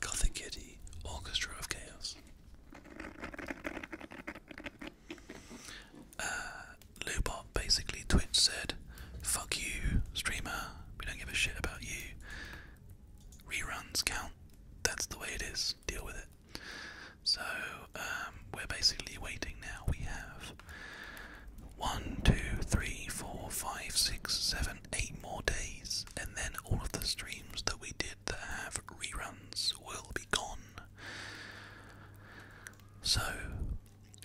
Gothic Kitty Orchestra of Chaos. Uh, Lubot basically Twitch said, "Fuck you, streamer. We don't give a shit about you. Reruns count. That's the way it is. Deal with it." So um, we're basically waiting now. We have one, two, three, four, five, six, seven, eight more days, and then all of the streams that we did that have reruns will be gone. So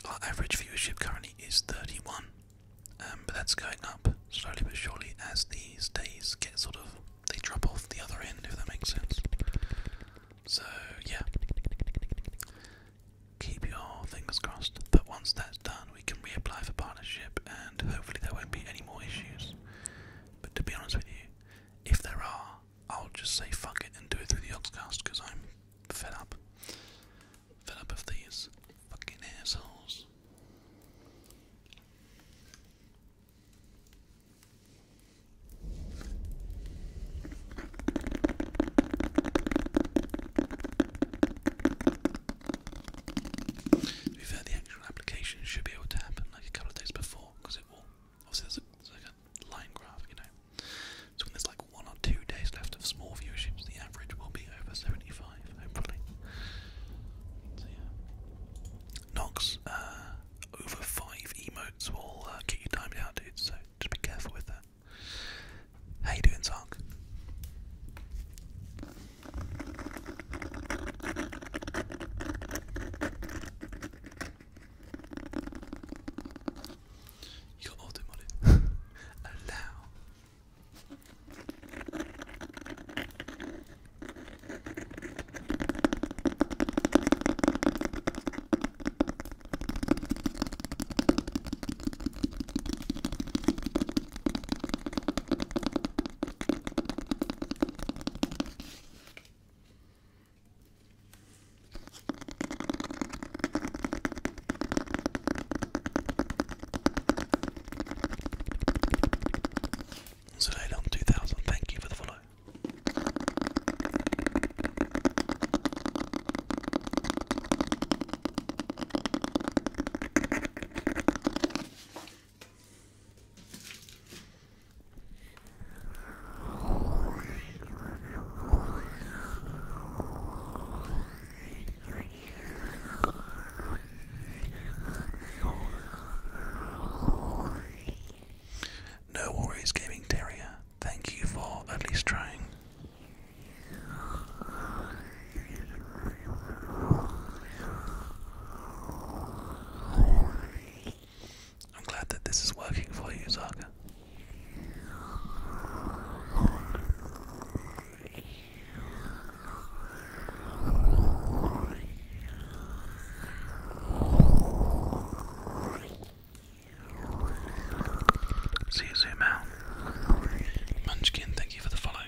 our average viewership currently is 31, um, but that's going up slowly but surely as these days get sort of they drop off the other end, if that makes sense. So, yeah. Keep your fingers crossed, but once that's done, we can reapply for partnership and hopefully there won't be any more issues. But to be honest with you, if there are, I'll just say fuck it and do it through the Oxcast because I'm fed up. Fed up of these fucking assholes. We've heard the actual application should be able to happen like a couple of days before because it will. Obviously, there's, like a line graph, you know. So when there's like one or two days left of small viewerships, the average will be over 75, hopefully. So uh, over five emotes will uh, get you timed out, dude. So just be careful with that. How you doing, Zark? You got auto modded. Allow. So, Lay on 2000, thank you for the follow. No worries, gaming terrier. Thank you for at least trying. I'm glad that this is working for you, Zaka. See you soon, Mal. Munchkin, thank you for the follow.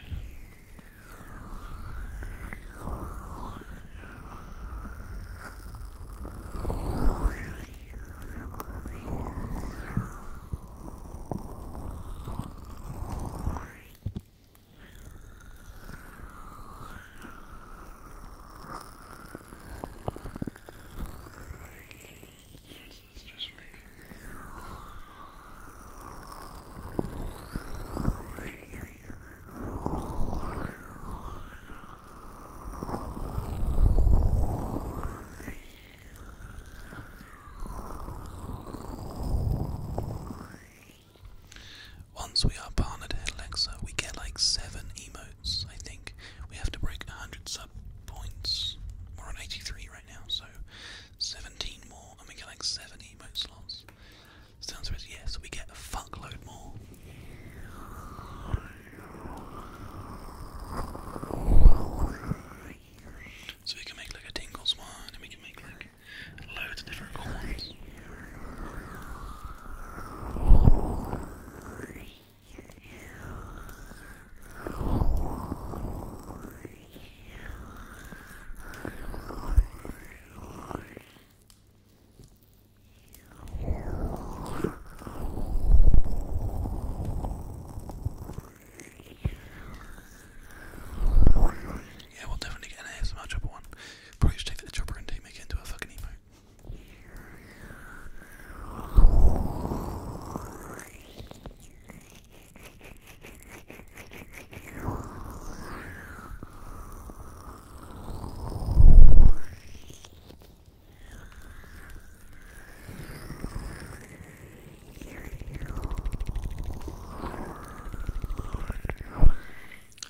Once we are partnered at Alexa, we get like seven emotes. I think we have to break 100 sub points. We're on 83 right now, so 17 more, and we get like 70 emote slots. Sounds good, yeah, so we get a fuckload more. So we can make like a tingles one, and we can make like loads of different cool yeah, we'll definitely get an ASMR chopper one. Probably should take the chopper and make it into a fucking emote.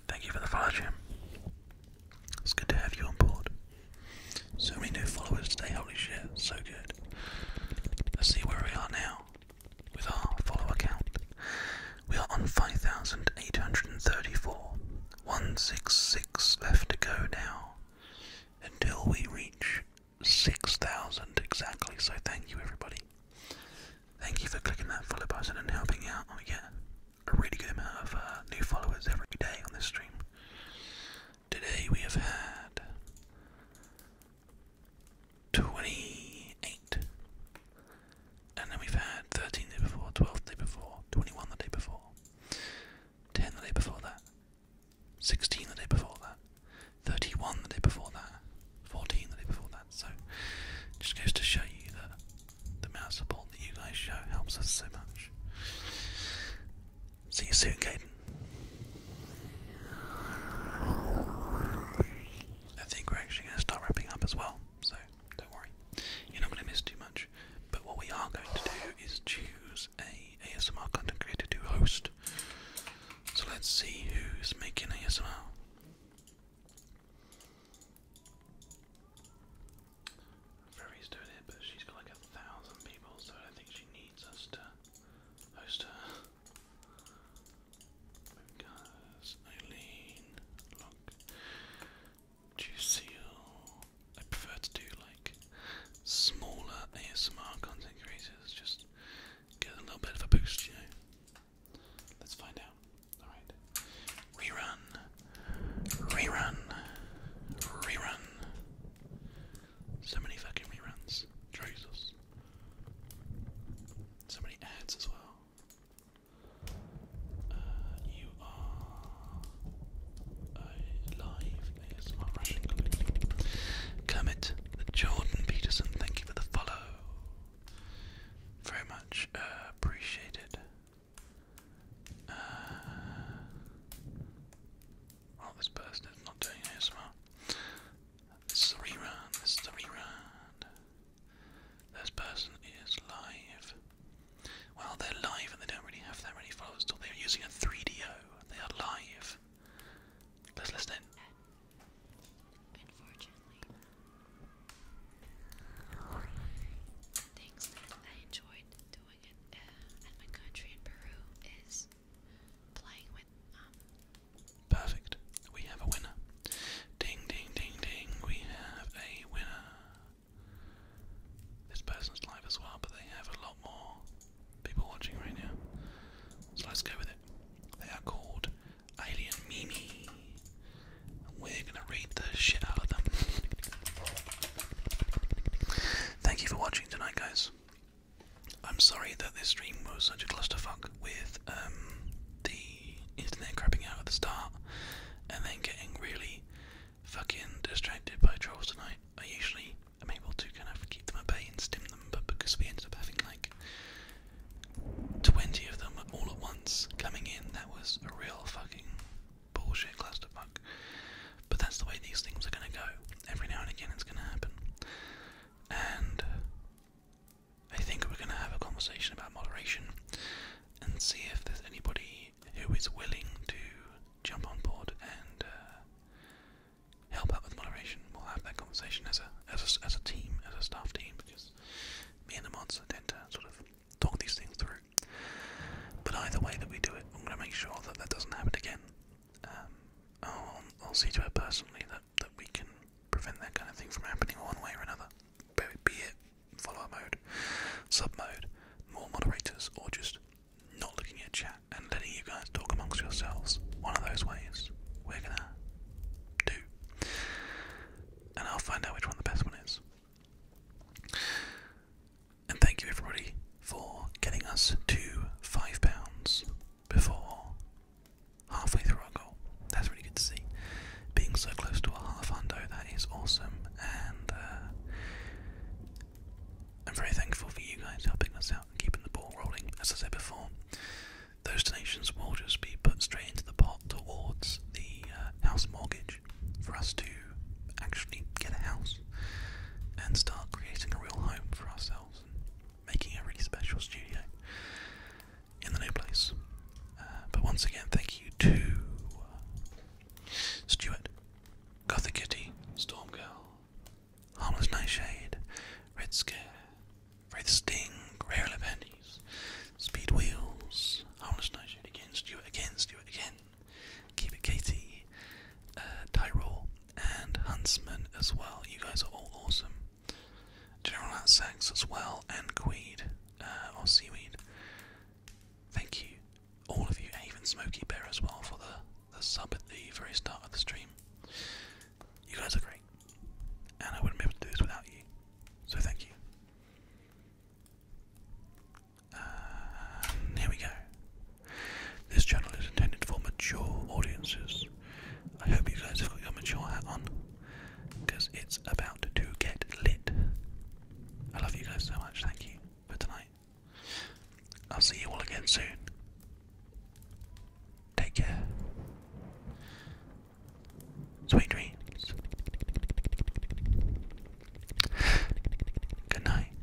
Thank you for the follow, Jim. It's good to have you on board. So many new followers today, holy shit, so good. Let's see where we are now with our follower count. We are on 5,834. 166 left to go now until we reach 6,000 exactly. So thank you, everybody. Thank you for clicking that follow button and helping out. We get a really good amount of uh, new followers every day on this stream. Today we have had twenty eight. And then we've had thirteen the day before, twelve day before, twenty one the day before, ten the day before that, sixteen the day before that, thirty one the day before that, fourteen the day before that. So it just goes to show you that the amount of support that you guys show helps us so much. See you soon, Caden. I think we're actually going to start wrapping up as well, so don't worry. You're not going to miss too much. But what we are going to do is choose a ASMR content creator to host. So let's see who's making ASMR. Ferry's doing but she's got like a thousand people, so I think she needs us to host her. Because Eileen, look, Juiceel. I prefer to do like smaller ASMR content creators, just get a little bit of a boost, you know. Let's find out. Alright. Rerun. Rerun. Rerun. So many fucking reruns. Jesus. So many ads as well. Uh, you are live ASMR Russian Jordan Peterson, thank you for the follow. Very much uh, appreciated. Uh, Oh, this person is not doing ASMR. This is a rerun, this is a rerun. This person is live. Well, they're live and they don't really have that many followers still. They're using a 3DO. They are live. Let's listen Unfortunately, things I enjoyed doing uh, um, Perfect. We have a winner. Ding, ding, ding, ding. We have a winner. This person's live as well, but they have a lot more people watching right now. So let's go with it. They are called Alien Mimi. And we're gonna read the shit out of them. *laughs* Thank you for watching tonight, guys. I'm sorry that this stream was such a clusterfuck with um, the internet crapping out at the start and then getting really fucking distracted by trolls tonight. I usually am able to kind of keep them at bay and stem them, but because we ended up having like 20 of them all at once coming in, that was a real fucking bullshit clusterfuck. But that's the way these things are going to go. Every now and again, it's going to happen. And I think we're going to have a conversation about moderation and see if there's anybody who is willing to jump on board and uh, help out with moderation. We'll have that conversation as a as a, team, as a staff team, because me and the mods tend sort of talk these things through. But either way that we do it, I'm going to make sure that that doesn't happen again. Um, I'll, see to it personally that, that we can prevent that kind of thing from happening one way or another. Be it follow mode, sub-mode, more moderators, or just not looking at chat and letting you guys talk amongst yourselves. One of those ways we're gonna do. And I'll find out which one the best one is. And thank you everybody for getting us to five pounds before halfway through our goal. That's really good to see. Being so close to a half hundo, that is awesome. And uh, I'm very thankful for you guys helping us out and keeping the ball rolling. As I said before, those donations will just be put straight into the pot towards the uh, house mortgage for us to actually get a house and start creating a real home for ourselves and making a really special studio in the new place. Uh, but once again, thank you to uh, Stuart, Gothic Kitty, Harmless Nightshade, Red Scare, Sting, Rare Levendies, Speed Wheels, Harmless Nightshade again, Stuart again, Stuart again, Keep it Katie, uh, Tyrol, and Huntsman as well. You guys are all awesome. General Hat Sacks as well, and Queed, uh, or Seaweed. Thank you, all of you, even Smoky Bear as well for the, the sub at the very start of the stream. You guys are great, and I wouldn't be able to do this without you, so thank you. Uh, here we go. This channel is intended for mature audiences. I hope you guys have got your mature hat on, because it's about to get lit. I love you guys so much, thank you for tonight. I'll see you all again soon. Take care. Sweet dreams. Good night.